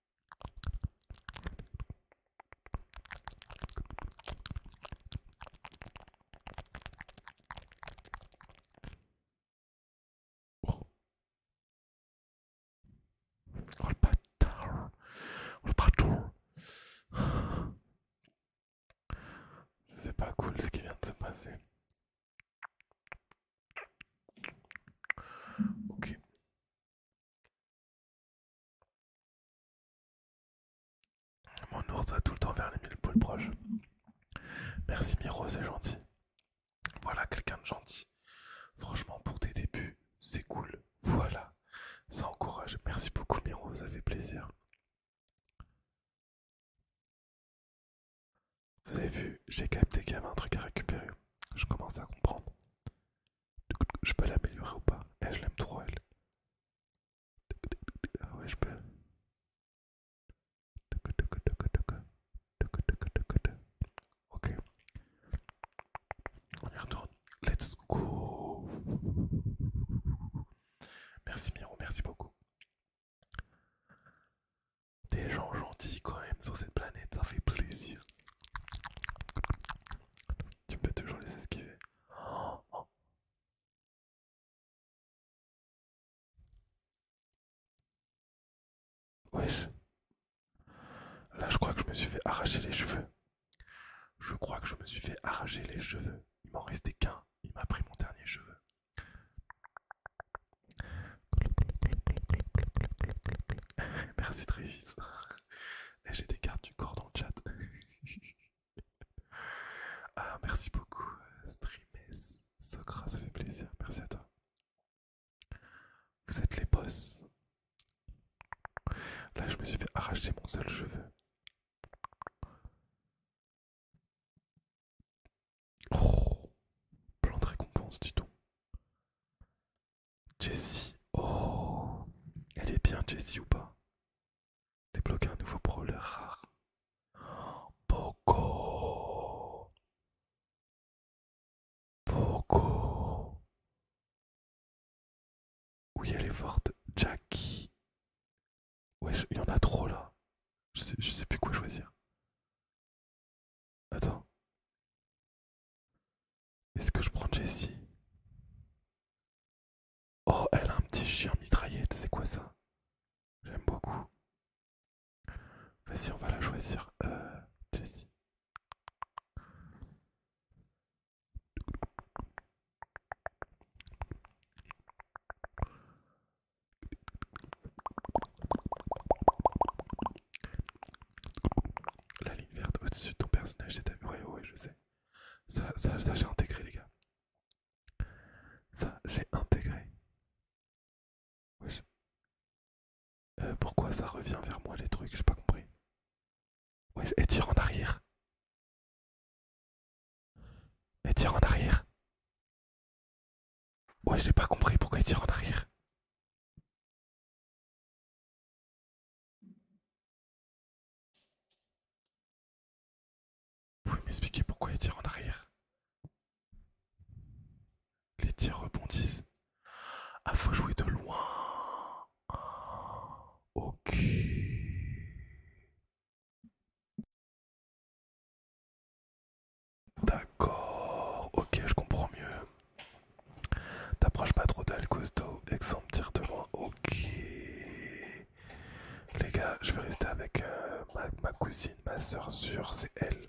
Oh. partout le bâtard le C'est pas cool ce qui vient de se passer. Ok. Mon ours va tout le temps vers les mille poules proches. Merci Miro, c'est gentil. Voilà quelqu'un de gentil. Franchement, pour tes débuts, c'est cool. Voilà. Ça encourage. Merci beaucoup Miro, ça fait plaisir. Vous avez vu, j'ai capté qu'il y avait un truc à récupérer. Je commence à comprendre. Je peux l'améliorer ou pas Eh, je l'aime trop, elle. Ah ouais, je peux. Ok. On y retourne. Let's go. Merci Miro, merci beaucoup des gens gentils quand même sur cette planète, ça fait plaisir. Tu peux toujours les esquiver. Là, je crois que je me suis fait arracher les cheveux. Je crois que je me suis fait arracher les cheveux. Il m'en restait qu'un. Il m'a pris mon dernier cheveu. [LAUGHS] Merci Là eh, J'ai des cartes du corps dans le chat. [LAUGHS] ah, merci beaucoup, euh, Streames. Socra, ça fait plaisir. Merci à toi. Vous êtes les boss. Là, je me suis fait arracher mon seul cheveu. Oh, plan de récompense, du tout. Jessie. Oh Elle est bien Jessie ou pas Débloquer un nouveau brawler rare. Oh, Poco Oui elle est forte. Jackie. Ouais, il y en a trop là. Je je sais plus quoi choisir. Attends. Est-ce que je prends Jessie Oh, elle a un petit chien mitraillette, c'est quoi ça J'aime beaucoup. Vas-y, on va la choisir, euh, Jessie. La ligne verte au-dessus de ton personnage, c'est ta muraille. Ouais, je sais. Ça, ça, j'ai intégré, les gars. Ça, j'ai intégré. Euh, pourquoi ça revient vers moi les trucs J'ai pas compris. Ouais, et tire en arrière. Et tire en arrière. Ouais, j'ai pas compris pourquoi il tire en arrière. Vous pouvez m'expliquer pourquoi il tire en arrière Les tirs rebondissent. Ah, faut jouer de loin. Ok. D'accord. Ok, je comprends mieux. T'approches pas trop d'elle, costaud, et me de loin. Ok. Les gars, je vais rester avec euh, ma, cousine, ma soeur sûre, c'est elle.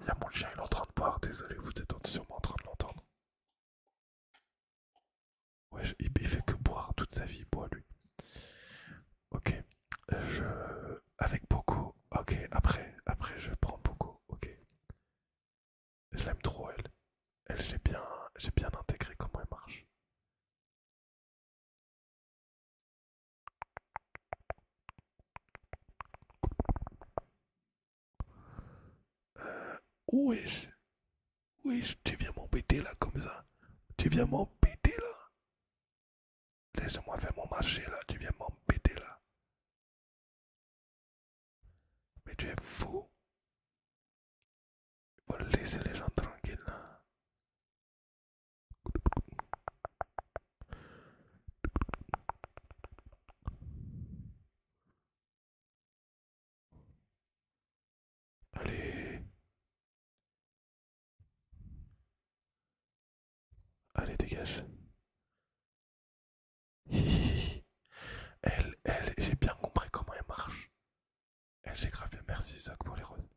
Il y a mon chien, il est en train de boire. Désolé, vous êtes sûrement en train de l'entendre. Ouais, il, fait que boire toute sa vie, boit lui. Ok. Je... Avec beaucoup. Ok, après, après je prends beaucoup. Ok. Je l'aime trop, elle. Elle, j'ai bien, bien intégré comment elle marche. Euh, oui tu viens m'embêter là comme ça. Tu viens m'embêter là. Laisse-moi faire mon marché là, tu viens m'embêter là. Mais tu es fou. Il faut laisser les gens tranquilles là. Allez, Allez, dégage. [LAUGHS] elle, elle, j'ai bien compris comment elle marche. Elle, j'ai grave bien. Merci, Zach, pour les roses.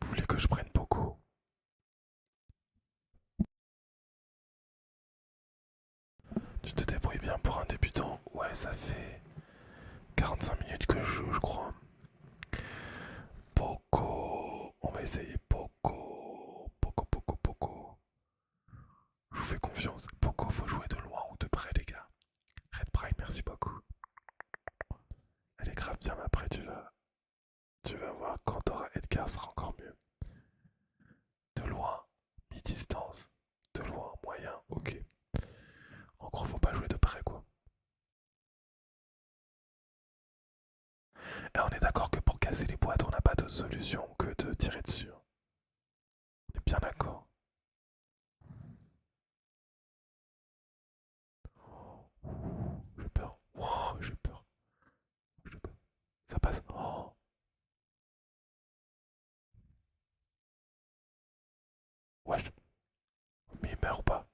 Vous voulez que je prenne beaucoup tu te débrouilles bien pour un débutant Ouais, ça fait 45 minutes que je joue, je crois. Poco, on va essayer Poco. Poco, Poco, Poco. Je vous fais confiance. Poco, faut jouer de loin ou de près, les gars. Red Prime, merci beaucoup. Elle est grave bien, mais après, tu vas, tu vas voir quand t'auras Edgar, sera encore mieux de loin, mi-distance, de loin, moyen, ok. Encore faut pas jouer de près, quoi. Et on est d'accord que pour casser les boîtes, on n'a pas de solution que de tirer dessus. Hein. On est bien d'accord. Oh, j'ai peur. Oh, j'ai peur. Ça passe. Oh. Wesh. Mais il meurt pas.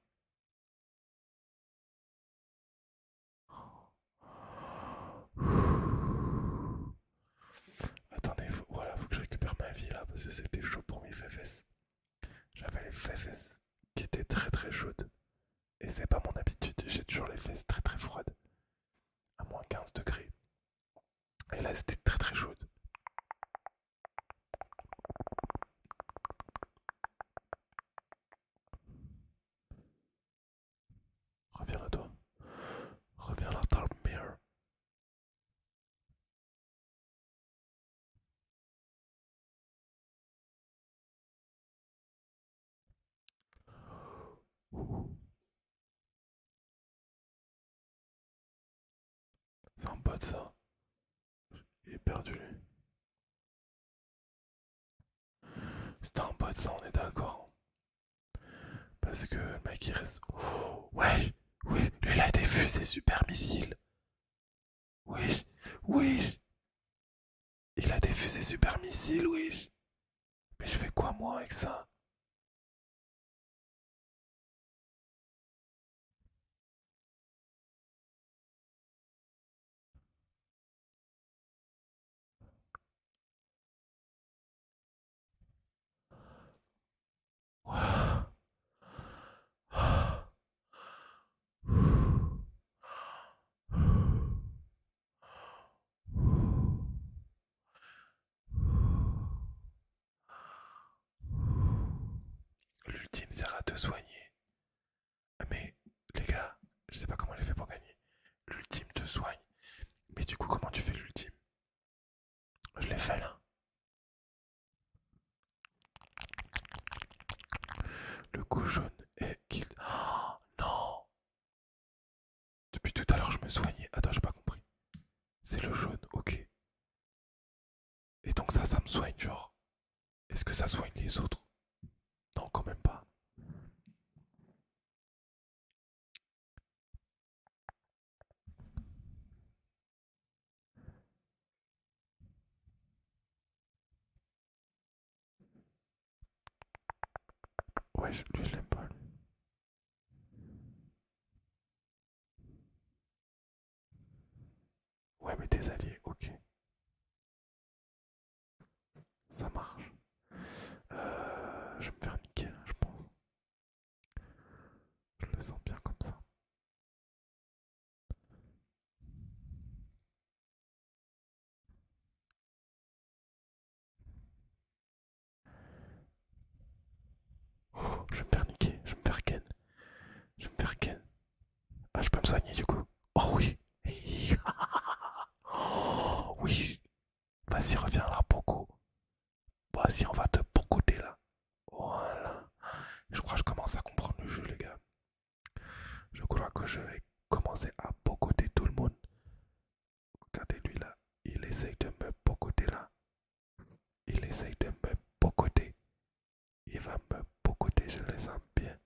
Attendez, voilà, faut que je récupère ma vie là parce que c'était chaud pour mes fesses. J'avais les fesses qui étaient très très chaudes. Et c'est pas mon habitude, j'ai toujours les fesses très très froides, à moins 15 degrés. Et là c'était très très chaude. Reviens là toi. Reviens là dans le c'est un pote ça. Il est perdu lui. un pote ça, on est d'accord. Parce que le mec il reste. Oh, ouais, lui il a des fusées super missiles. Oui, oui. Il a des fusées super missiles, oui. Mais je fais quoi moi avec ça L'ultime sert à te soigner. Mais les gars, je sais pas comment j'ai fait pour gagner. L'ultime te soigne. Mais du coup, comment tu fais l'ultime Je l'ai fait là. Le coup jaune est kill. Oh non depuis tout à l'heure, je me soignais. Attends, j'ai pas compris. C'est le jaune, ok. Et donc ça, ça me soigne, genre. Est-ce que ça soigne les autres Non, quand même pas. Ouais, je, lui, je l'aime pas, Ouais, mais tes alliés, ok. Ça marche. Euh, je vais me faire niquer, je pense. Je le sens bien comme ça je vais me faire niquer, je vais me faire ken. Je vais me faire ken. Ah, je peux me soigner du coup. Oh oui. oh [LAUGHS] oui. Vas-y, reviens là, Poco. Vas-y, on va te pocoter là. Voilà. Je crois que je commence à comprendre le jeu, les gars. Je crois que je vais commencer à pocoter tout le monde. Regardez-lui là. Il essaye de me bocoter là. Il essaye de me bocoter. Il va me bocoter, je le sens bien.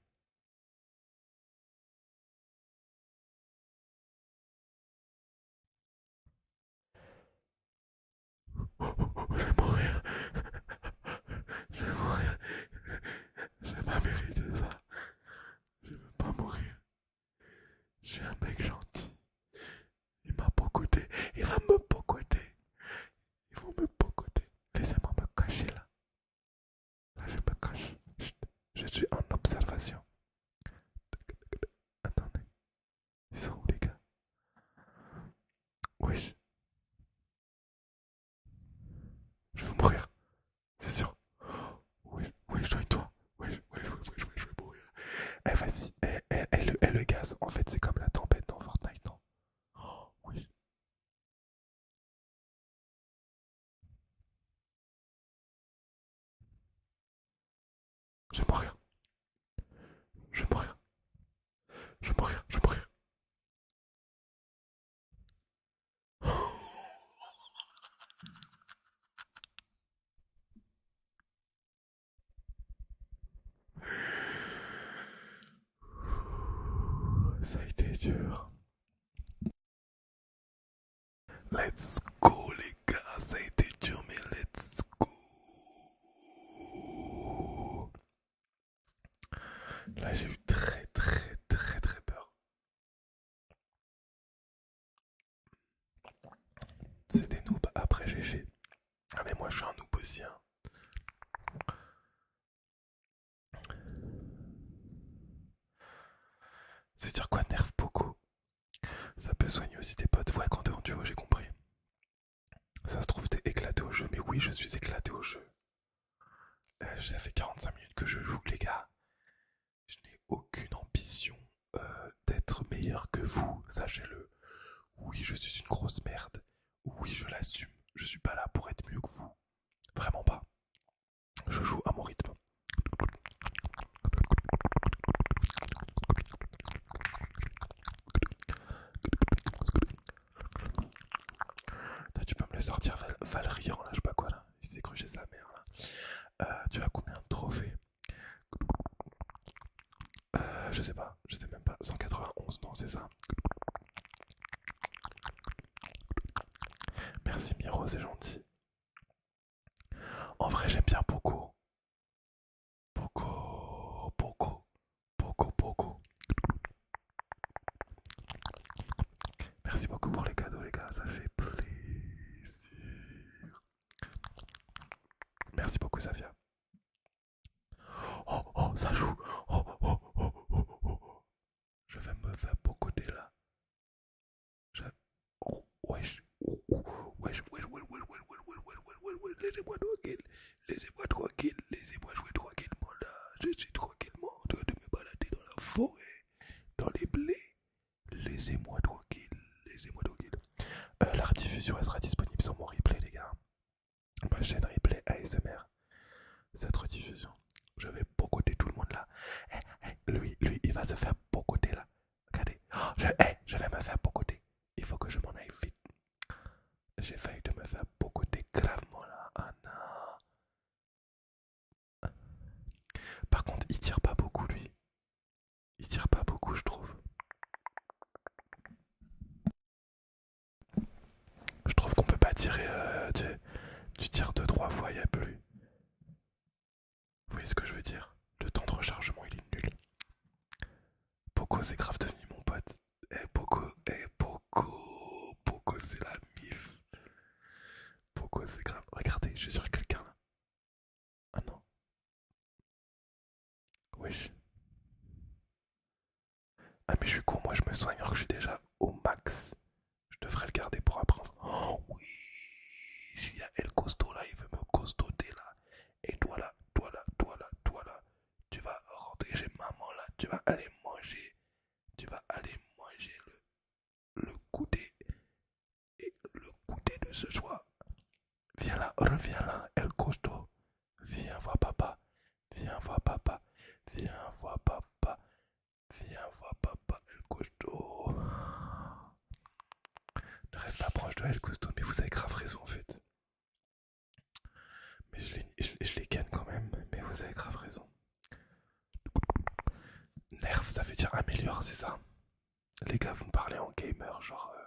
je vais mourir. Je vais mourir. Je vais pas mériter ça. Je veux pas mourir. J'ai un mec gentil. Il m'a côté, Il va me pogoter, il va me pogoter, Laissez-moi me cacher là. Là, je me cache. Je suis en observation. Attendez. Ils sont où les gars Wesh. Je vais mourir. C'est sûr. Oui, oui, dois toi Oui, oui, oui, oui, je vais mourir. Eh, vas-y. Eh, eh, eh, eh, le gaz, en fait, c'est comme la tempête dans Fortnite, non Oh, oui. Je vais mourir. Je vais mourir. Je vais mourir, je vais mourir. [LAUGHS] Ça a été dur. Let's go les gars, ça a été dur mais let's go. Là j'ai eu très très très très peur. C'est des noobs après GG. Ah mais moi je suis un noob aussi. Hein. C'est dire quoi nerf beaucoup. Ça peut soigner aussi tes potes. Ouais quand t'es en duo j'ai compris. Ça se trouve t'es éclaté au jeu. Mais oui je suis éclaté au jeu. Euh, ça fait 45 minutes que je joue les gars. Je n'ai aucune ambition euh, d'être meilleur que vous, sachez-le. Oui, je suis une grosse merde. Oui, je l'assume. Je suis pas là pour être mieux que vous. Vraiment pas. Je joue à mon rythme. Tu peux me le sortir Val on lâche sais pas quoi là il s'est cru sa mère là. Euh, tu as combien de trophées euh, Je sais pas, je sais même pas. 191, non, c'est ça. Merci Miro, c'est gentil. En vrai, j'aime bien beaucoup Beaucoup, beaucoup Beaucoup, beaucoup Merci beaucoup pour les cadeaux, les gars, ça fait plaisir. Merci beaucoup, Safia. Oh, oh, ça joue. Oh, oh, oh, oh, oh, oh. oh. Je vais me faire beau côté là. Je... Oh, wesh. Oh, oh, wesh, wesh, wesh, wesh, wesh, wesh, Laissez-moi tranquille. Laissez-moi tranquille. Laissez-moi jouer tranquillement là. Je suis tranquillement en train de me balader dans la forêt, dans les blés, Laissez-moi tranquille, laissez-moi tranquille. Euh, la rediffusion elle sera disponible sur mon replay, les gars. Ma chaîne replay ASMR. Cette rediffusion, je vais bocoter tout le monde là. Eh, eh, lui, lui, il va se faire bocoter là. Regardez, oh, je, eh, je vais me faire bocoter. Il faut que je m'en aille vite. J'ai failli de me faire bocoter gravement là. Ah par contre, il tire pas beaucoup lui. Il tire pas beaucoup, je trouve. Je trouve qu'on peut pas tirer. Euh, tu, tires deux trois fois, il a plus. Vous voyez ce que je veux dire Le temps de rechargement, il est nul. Poco, c'est grave devenu mon pote. Eh hey, eh, c'est la mif. Poco, c'est grave. Regardez, je suis sur quelqu'un là. Ah non. Wesh. Ah mais je suis con, moi je me soigne alors que je suis déjà au max. Je devrais le garder pour apprendre Oh oui Il y a El Costo là, il veut me costauder là. Et toi là, toi là, toi là, toi là. Tu vas rentrer chez maman là, tu vas aller manger. Tu vas aller manger le le côté et le côté de ce soir. Viens là, reviens là, El coûte Viens voir papa, viens voir papa, viens voir papa, viens voir papa, El coûte Ne reste pas proche de El costaud mais vous avez grave raison en fait. Mais je les, les gagne quand même, mais vous avez grave raison. Nerf, ça veut dire améliore, c'est ça les gars, vont parler en gamer, genre. Euh,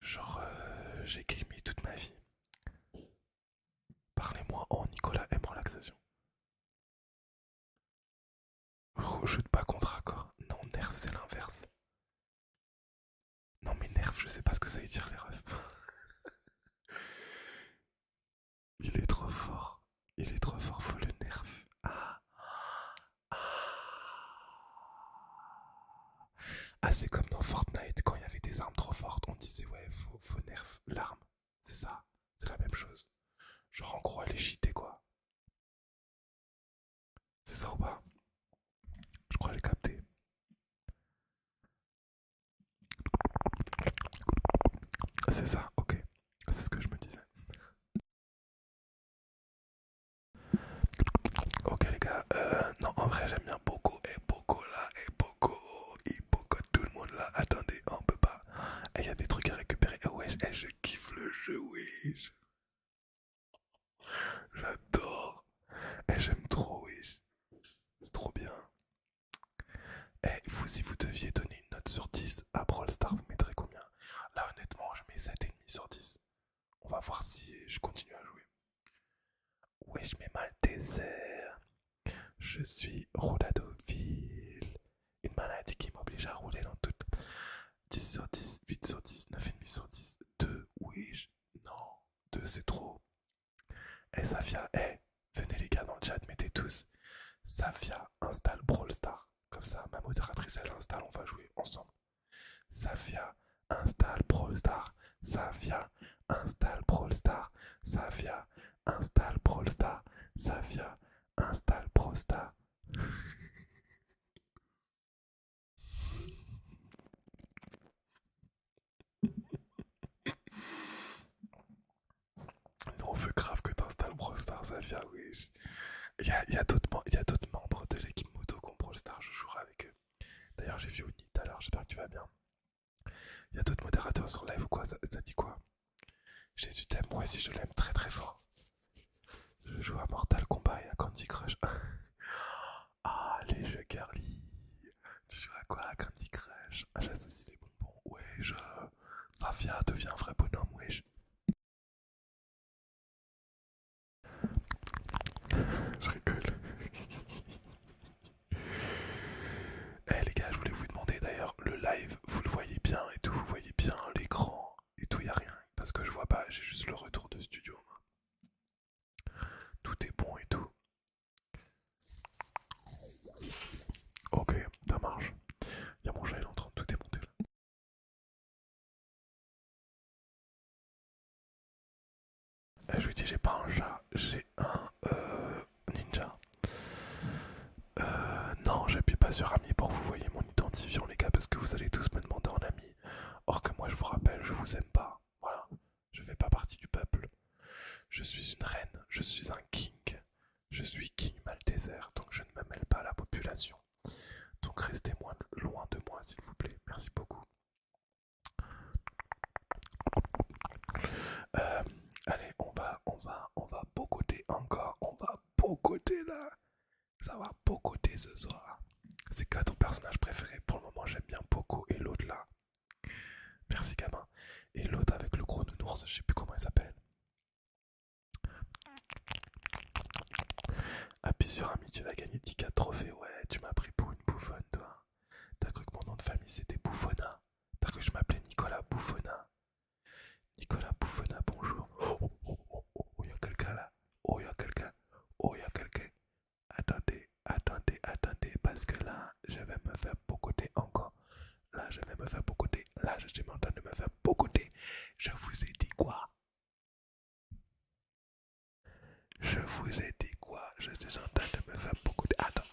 genre, euh, j'ai gamé toute ma vie. Parlez-moi en Nicolas M relaxation. Rejoute pas contre accord. Non, nerf, c'est l'inverse. Non, mais nerf, je sais pas ce que ça veut dire, les refs. [LAUGHS] Il est trop fort. Il est trop fort, faut le nerf. Ah. Ah. ah, c'est comme dans Fortnite, quand il y avait des armes trop fortes, on disait ouais, faut, faut nerf l'arme. C'est ça, c'est la même chose. Genre en gros, elle est quoi. C'est ça ou pas Je crois que j'ai capté. C'est ça, ok. C'est ce que je me disais. Ok les gars, euh, non en vrai j'aime bien Poco et Poco là et Poco et Poco tout le monde là. Attendez, on peut pas. Il y a des trucs à récupérer. Et wesh, et je kiffe le jeu, wesh. J'adore. Et j'aime trop, wesh. C'est trop bien. Et vous, si vous deviez donner une note sur 10 à Brawl Stars, vous mettrez combien Là, honnêtement, je mets 7,5 sur 10. On va voir si je continue à jouer. Oui, je mets mal désert. Je suis rouladoville. Une maladie qui m'oblige à rouler dans tout. 10 sur 10, 8 sur 10, 9,5 sur 10, 2, oui, non, 2 c'est trop. Eh Safia, eh, venez les gars dans le chat, mettez tous. Safia installe Brawl Stars. Comme ça, ma modératrice, elle installe, on va jouer ensemble. Safia installe Brawl Star. Safia installe Brawl Star. Safia installe Brawl Star. Safia installe Brawl non, on veut grave que t'installes Brawl Stars, Avia, oui. Il y a, d'autres membres de l'équipe moto qui ont je jouerai avec eux. D'ailleurs, j'ai vu Oni tout à l'heure, j'espère que tu vas bien. Il y a d'autres modérateurs sur live ou quoi ça, dit quoi Jésus t'aime, moi aussi je l'aime très très fort. Je joue à Mortal Kombat et à Candy Crush. [LAUGHS] ah, les jeux Tu joues à quoi à Candy Crush ah, J'associe les bonbons. Ouais, je. Safia devient un vrai bonhomme, wesh. Je rigole. [LAUGHS] Eh les gars, je voulais vous demander d'ailleurs, le live, vous le voyez bien et tout, vous voyez bien l'écran et tout, il a rien. Parce que je vois pas, j'ai juste le retour de studio. Tout est bon et tout. Ok, ça marche. Il y a mon gel en train de tout démonter là. Ah, je vous dis j'ai pas un chat, j'ai un euh, ninja. Euh, non, j'appuie pas sur ami pour vous voyez mon identifiant les gars parce que vous allez tous me demander en ami. Or que moi je vous rappelle, je vous aime pas. Voilà, je fais pas partie du peuple. Je suis une reine, je suis un king, je suis King Malteser, donc je ne me mêle pas à la population. Donc restez loin de moi, s'il vous plaît. Merci beaucoup. Euh, allez, on va, on va, on va bocoter encore. On va bocoter là. Ça va bocoter ce soir. C'est quoi ton personnage préféré Pour le moment, j'aime bien Poco et l'autre là. Merci gamin. Et l'autre avec le gros nounours, je sais plus comment il s'appelle. Appuie sur ami, tu vas gagner 10K trophées. Ouais, tu m'as pris pour une bouffonne, toi. T'as cru que mon nom de famille c'était Bouffona. T'as cru que je m'appelais Nicolas Bouffona. Nicolas Bouffona, bonjour. Oh, oh, oh, oh, y'a quelqu'un là. Oh, il y a quelqu'un. Oh, il y a quelqu'un. Attendez, attendez, attendez, parce que là, je vais me faire temps encore. Là, je vais me faire beaucoup de. Là, je suis en train de me faire beaucoup de. Je vous ai dit quoi Je vous ai dit quoi Je suis en train de me faire beaucoup de. Attends.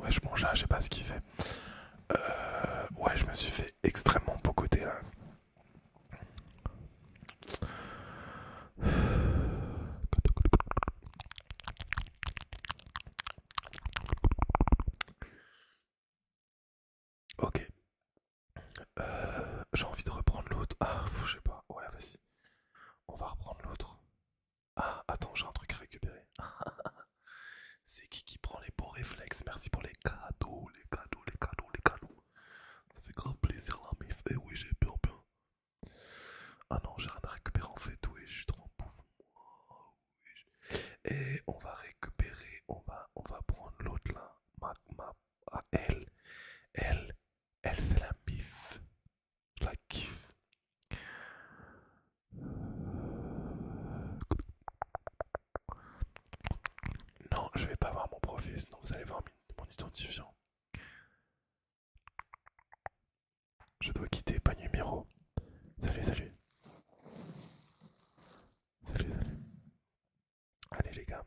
Ouais, je mange, je sais pas ce qu'il fait. Euh, ouais, je me suis fait extrêmement beau côté là. Ok. Euh, j'ai envie de reprendre l'autre. Ah, je sais pas. Ouais, vas-y. On va reprendre l'autre. Ah, attends, j'ai un truc à récupérer. [LAUGHS] C'est qui qui prend les bons réflexes Merci pour les cadeaux, les cadeaux, les cadeaux, les cadeaux. Ça fait grave plaisir là, mais eh oui, j'ai bien, bien. Ah non, j'ai rien à récupérer en fait, oui, je suis trop en Et on va récupérer, on va, on va prendre l'autre là. Ah, elle, elle, elle, c'est la bif. Je la kiffe. Non, je vais pas voir mon profil, sinon vous allez voir mon identifiant. Je dois quitter, pas numéro. Salut, salut. Salut, salut. Allez les gars,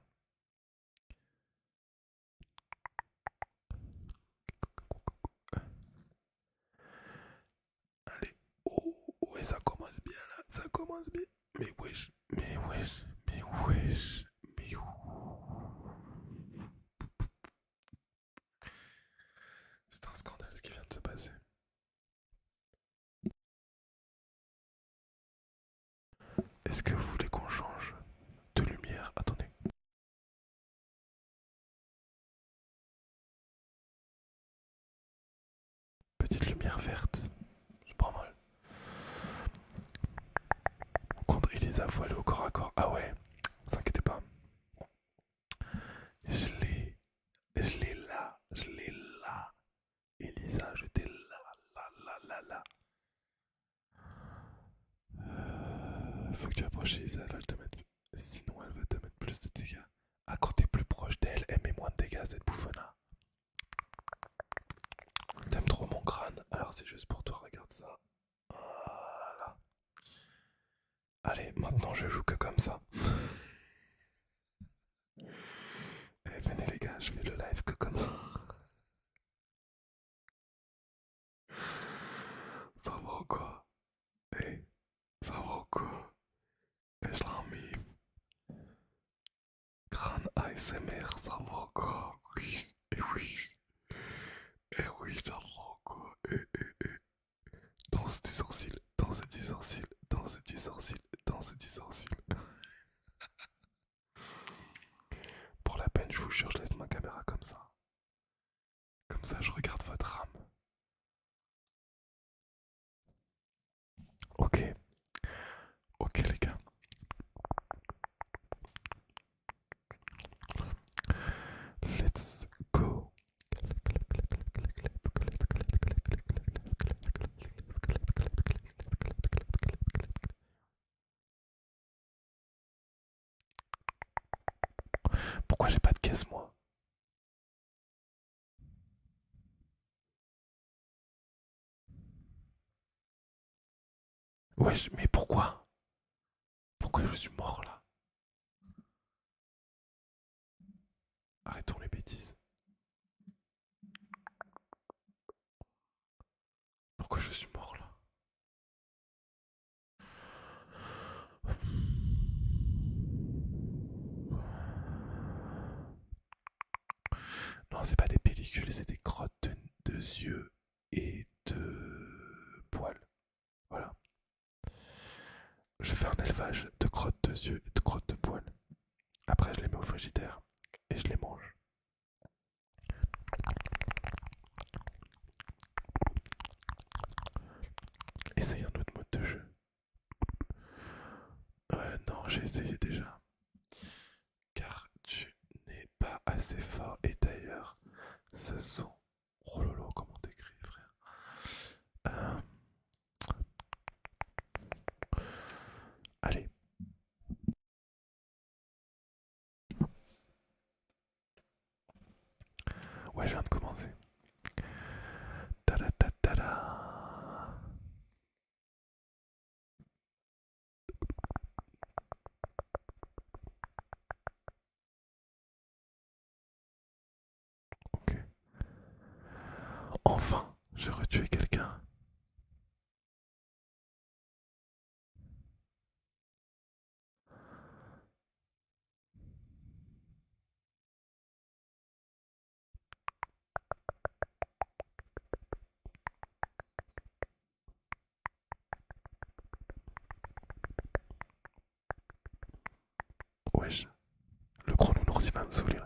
Allez, oh, ça commence bien là, ça commence bien. Mais wesh, mais wesh, mais wesh, mais C'est un scandale ce qui vient de se passer. Est-ce que vous voulez qu'on change de lumière Attendez. Petite lumière verte, c'est pas mal. Contre Elisa, vous au corps à corps. Ah ouais, vous inquiétez pas. Je l'ai, je l'ai là, je l'ai là. Elisa, je là, là, là, là, là. Euh, faut que tu approches elle va te mettre... Sinon elle va te mettre plus de dégâts. Ah quand t'es plus proche d'elle, elle met moins de dégâts cette bouffonne T'aimes trop mon crâne, alors c'est juste pour toi, regarde ça. Voilà. Allez, maintenant je joue que comme ça. [LAUGHS] Eh, venez les gars, je fais le live que comme ça quoi eh, l'en Islamif. Grand ASMR quoi oui, et oui, et oui, quoi et eh eh Danse du sourcil, danse du sourcil, danse du sourcil, danse du sourcil. [LAUGHS] Pour la peine, je vous jure, je laisse ma caméra comme ça. Comme ça, je regarde votre âme. Ok. Ok les gars. Let's go. Pourquoi j'ai pas de caisse moi Ouais, mais pourquoi Pourquoi je suis mort là Arrêtons les bêtises. Pourquoi je suis mort là non, c'est pas des pellicules, c'est des crottes de, yeux et de poils. Voilà. Je fais un élevage de crottes de yeux et de crottes de poils. Après, je les mets au frigidaire et je les mange. Essaye un autre mode de jeu. Euh, non, j'ai essayé déjà. Car tu n'es pas assez fort. Et d'ailleurs, ce sont... Oh comment t'écris, frère euh... Allez. Ouais, je viens de commencer. Ta -da -ta -ta -da. Ok. Enfin, j'ai retué quelqu'un. Oui je le chrono nous revient de sourire.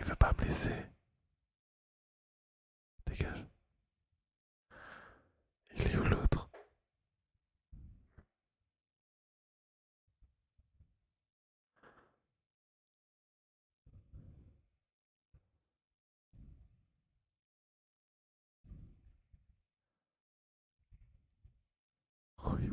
Il veut pas blesser. Dégage. Il est où l'autre oui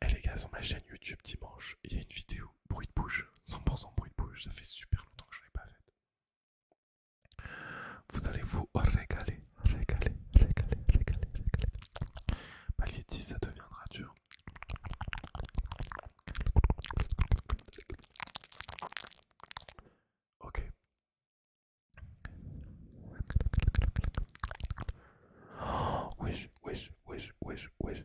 eh hey les gars, sur ma chaîne YouTube dimanche, il y a une vidéo bruit de bouche, 100% bruit de bouche, ça fait super longtemps que je ne pas fait. Vous allez vous régaler, régaler, régaler, régaler, régaler. Palier ça deviendra dur. Ok. Oh, [GASPS] wesh, wesh, wesh, wesh, wesh.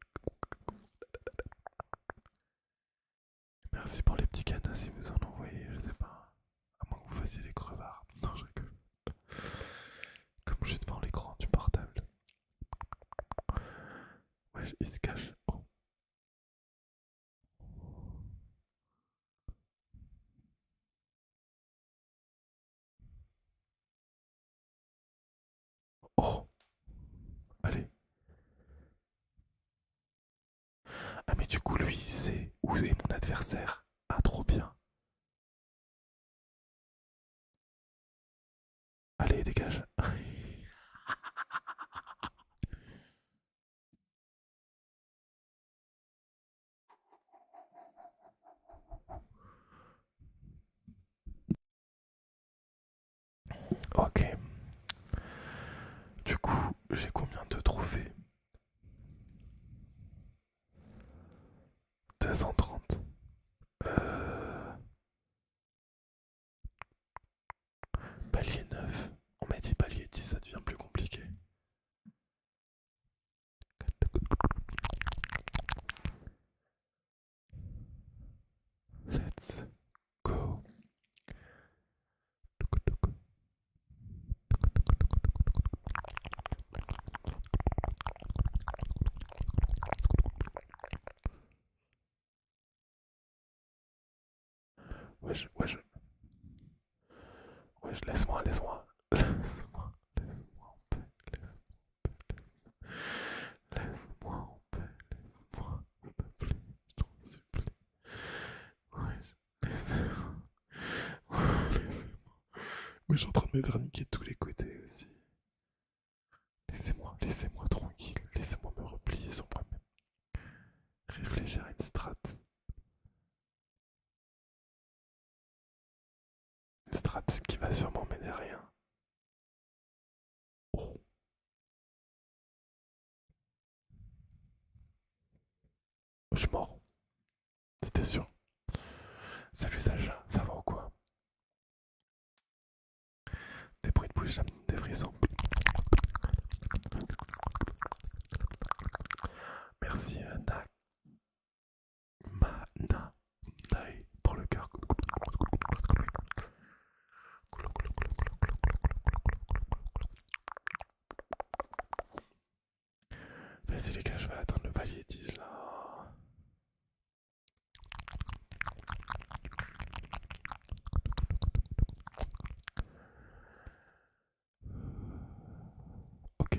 Merci pour les petits canons si vous en envoyez, je sais pas. À moins que vous fassiez les crevards. Non, je Comme je suis devant l'écran du portable. Wesh, il se cache. Oh. Oh Allez. Ah mais du coup lui il sait où est mon adversaire. Ah trop bien. Allez, dégage. Ok. Du coup, j'ai combien de trophées 230. Euh... Palier 9. On m'a dit palier 10, ça devient plus compliqué. Let's go. Wesh, wesh, wesh, laisse-moi, laisse-moi, [LAUGHS] laisse-moi, laisse-moi, laisse-moi. Laisse-moi en paix, laisse-moi, s'il te plaît, je t'en supplie. Ouais, laissez-moi. moi Oui, je suis en train de me verniquer de tous les côtés aussi. Laissez-moi, laissez-moi tranquille, laissez-moi me replier sur moi-même. Réfléchir à une strate. Une strat qui va sûrement à rien. Oh. Je suis mort. C'était sûr. Salut Sacha, ça va ou quoi Des bruits de bouche, des frissons. Merci pour le cœur. Vas-y les gars, je vais attendre le palier 10 là. Ok.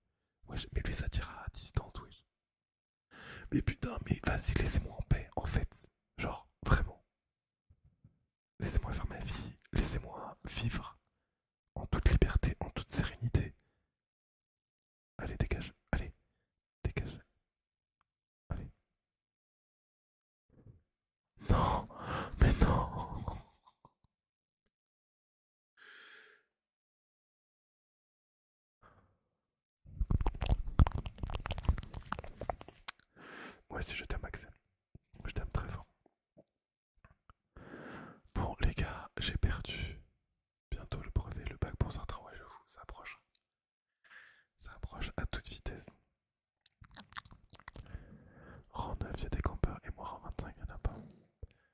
mais lui ça tira à distance, oui, Mais putain, mais vas-y, laissez-moi en paix, en fait. Genre, vraiment. Laissez-moi faire ma vie, laissez-moi vivre en toute liberté, en toute sérénité. Allez, dégage, allez, dégage. Allez. Non, mais non. Moi aussi je t'aime, Max. Je t'aime très fort. Bon, les gars, j'ai perdu bientôt le brevet, le bac pour certains. Ouais, ça approche. Ça approche à toute vitesse. Rang 9, il y a des campeurs et moi, rang 25, il n'y en a pas.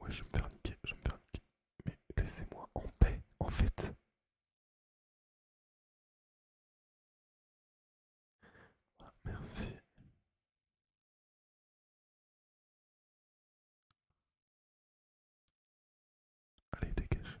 Ouais, je vais me faire niquer, je vais me faire niquer. Mais laissez-moi en paix, en fait. merci. Allez, dégage.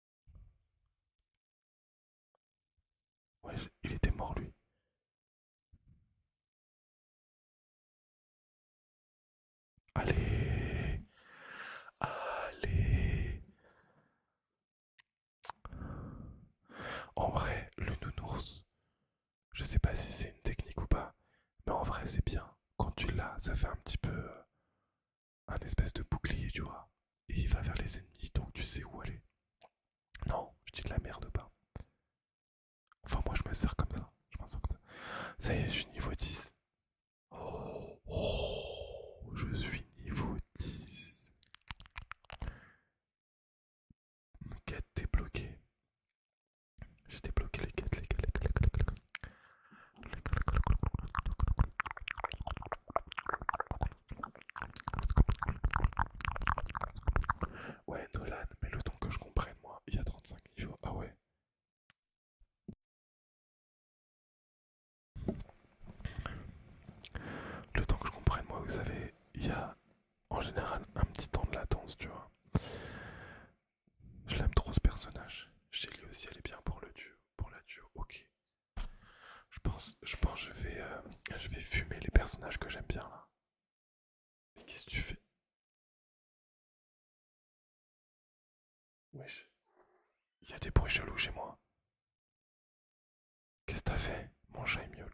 Ouais, il était mort lui. Allez. Allez. En vrai, le nounours, je sais pas si c'est une technique ou pas, mais en vrai c'est bien. Quand tu l'as, ça fait un petit peu... Euh, un espèce de bouclier, tu vois. Et il va vers les ennemis, donc tu sais où aller. Non, je dis de la merde pas. Enfin, moi, je me sers comme ça. Je m'en sers comme ça. Ça y est, je suis niveau 10. Oh, je suis niveau 10. Quête débloquée. J'ai débloqué les quêtes, les quêtes, les quêtes, les quêtes. Ouais, Nolan, mais le temps que je comprenne, moi, il y a 35 niveaux. Ah ouais. Le temps que je comprenne, moi, vous savez, il y a en général un petit temps de latence, tu vois. Je l'aime trop ce personnage. J'ai lui aussi, elle est bien pour le dieu Pour la duo, ok. Je pense, je pense, je vais, euh, je vais fumer les personnages que j'aime bien là. Mais qu'est-ce que tu fais Wesh. Il y a des bruits chelous chez moi. Qu'est-ce que t'as fait Mon chat miaule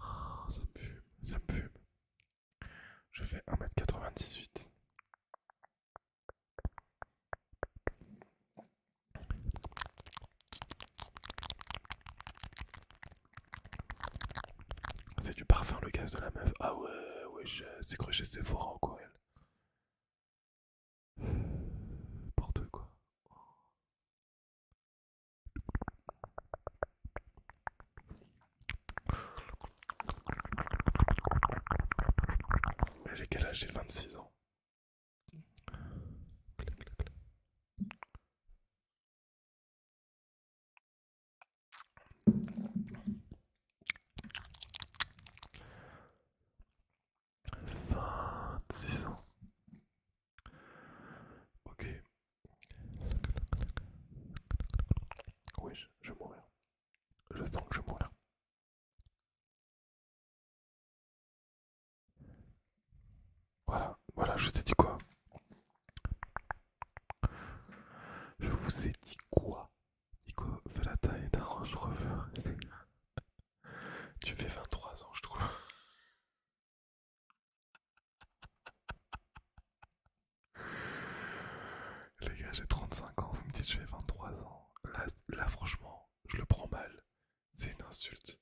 Oh, ça me fume, ça me fume. Je fais 1m98. C'est du parfum le gaz de la meuf. Ah ouais, ouais, c'est crochet Sephora en quoi elle. Pour deux, quoi. J'ai quel âge J'ai 26 ans. 26 ans. Ok. Oui, je, vais mourir. Je sens que je vais mourir. Voilà, voilà, je vous ai dit quoi Je vous ai dit quoi Nico fait la taille d'un Range Rover. Tu fais 23 ans, je trouve. Les gars, j'ai 35 ans, vous me dites je fais 23 ans. Là, franchement, je le prends mal. C'est une insulte.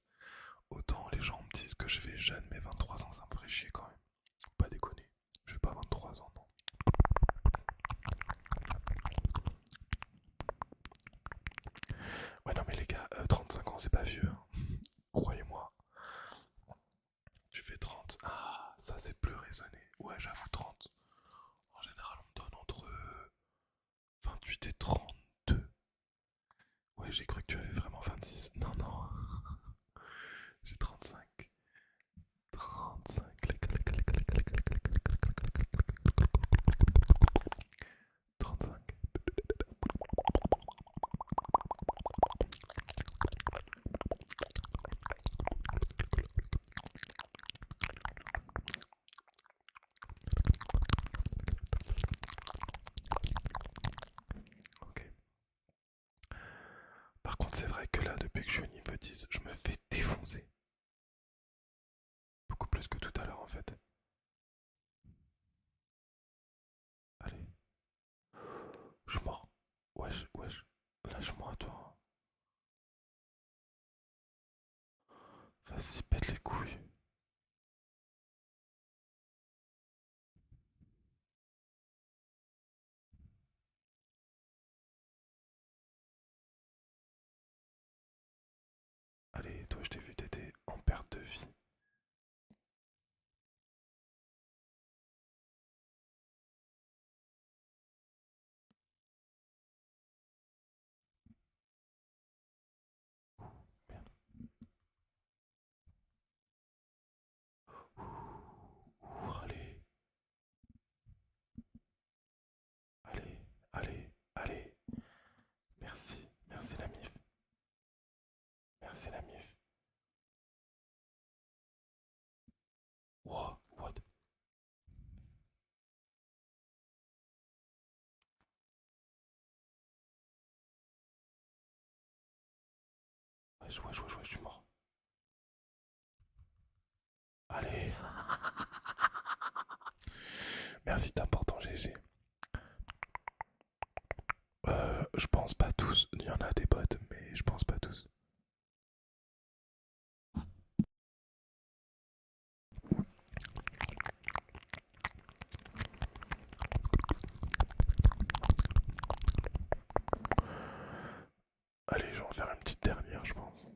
Autant les gens me disent que je fais jeune, mais 23 ans, ça me ferait chier quand même. Pas déconner. Je vais pas 23 ans, non. Ouais, non, mais les gars, 35 ans, c'est pas vieux. Croyez-moi. Tu fais 30. Ah, ça, c'est plus raisonné. Ouais, j'avoue, 30. En général, on me donne entre 28 et 32. Ouais, j'ai cru que tu avais vraiment 26. Non, non. j'ai 35. 35. 35. Ok. Par contre, c'est vrai que là, depuis que je suis au niveau 10, je me fais défoncer. Beaucoup plus que tout à l'heure en fait. Allez. Je mort. Wesh, wesh. Lâche-moi toi. Vas-y, pète les couilles. Allez, toi je t'ai vu, t'étais en perte de vie. allez. Allez, allez, Merci, merci la MIF. Merci la MIF. Wow, what? je vois, je vois, je suis mort. Allez [LAUGHS] Merci, t'es important, GG. Euh, je pense pas tous. Il y en a des potes, mais je pense pas tous. Allez, je vais faire une petite dernière, je pense.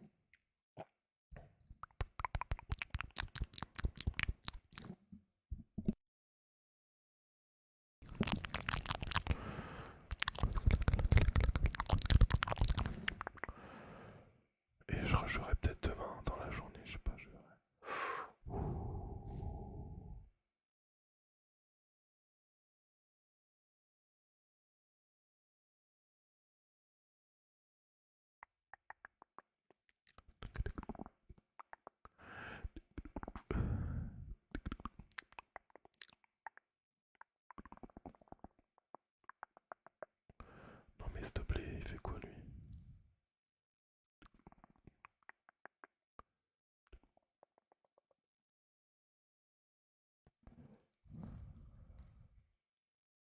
Et je rejouerai peut-être demain dans la journée, je sais pas, je non mais s'il te plaît, il fait quoi lui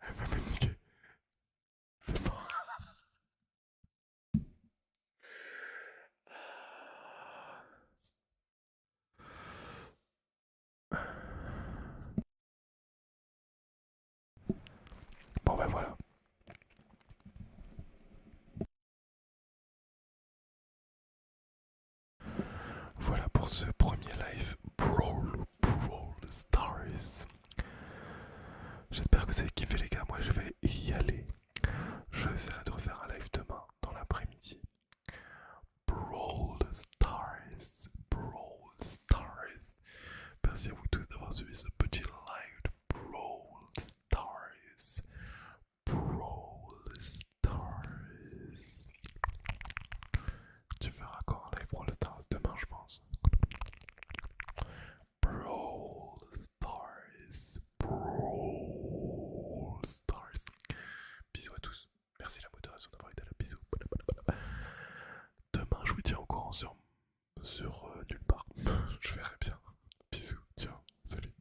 Elle va me niquer. C'est bon. Bon ben voilà. Voilà pour ce premier live Brawl, Brawl Stars. J'espère que vous avez kiffé les gars, moi je vais y aller. Je vais essayer de refaire un live demain dans l'après-midi. Brawl Stars, Brawl Stars. Merci à vous tous d'avoir suivi ce petit live Brawl Stars. Brawl Stars. Tu feras quoi en live Brawl Stars demain, je pense. Brawl Stars. Brawl Stars. Bisous à tous. Merci la modération d'avoir été là. Bisous. Demain, je vous tiens au courant sur, sur euh, nulle part. [LAUGHS] je verrai bien. Bisous. Ciao. Salut.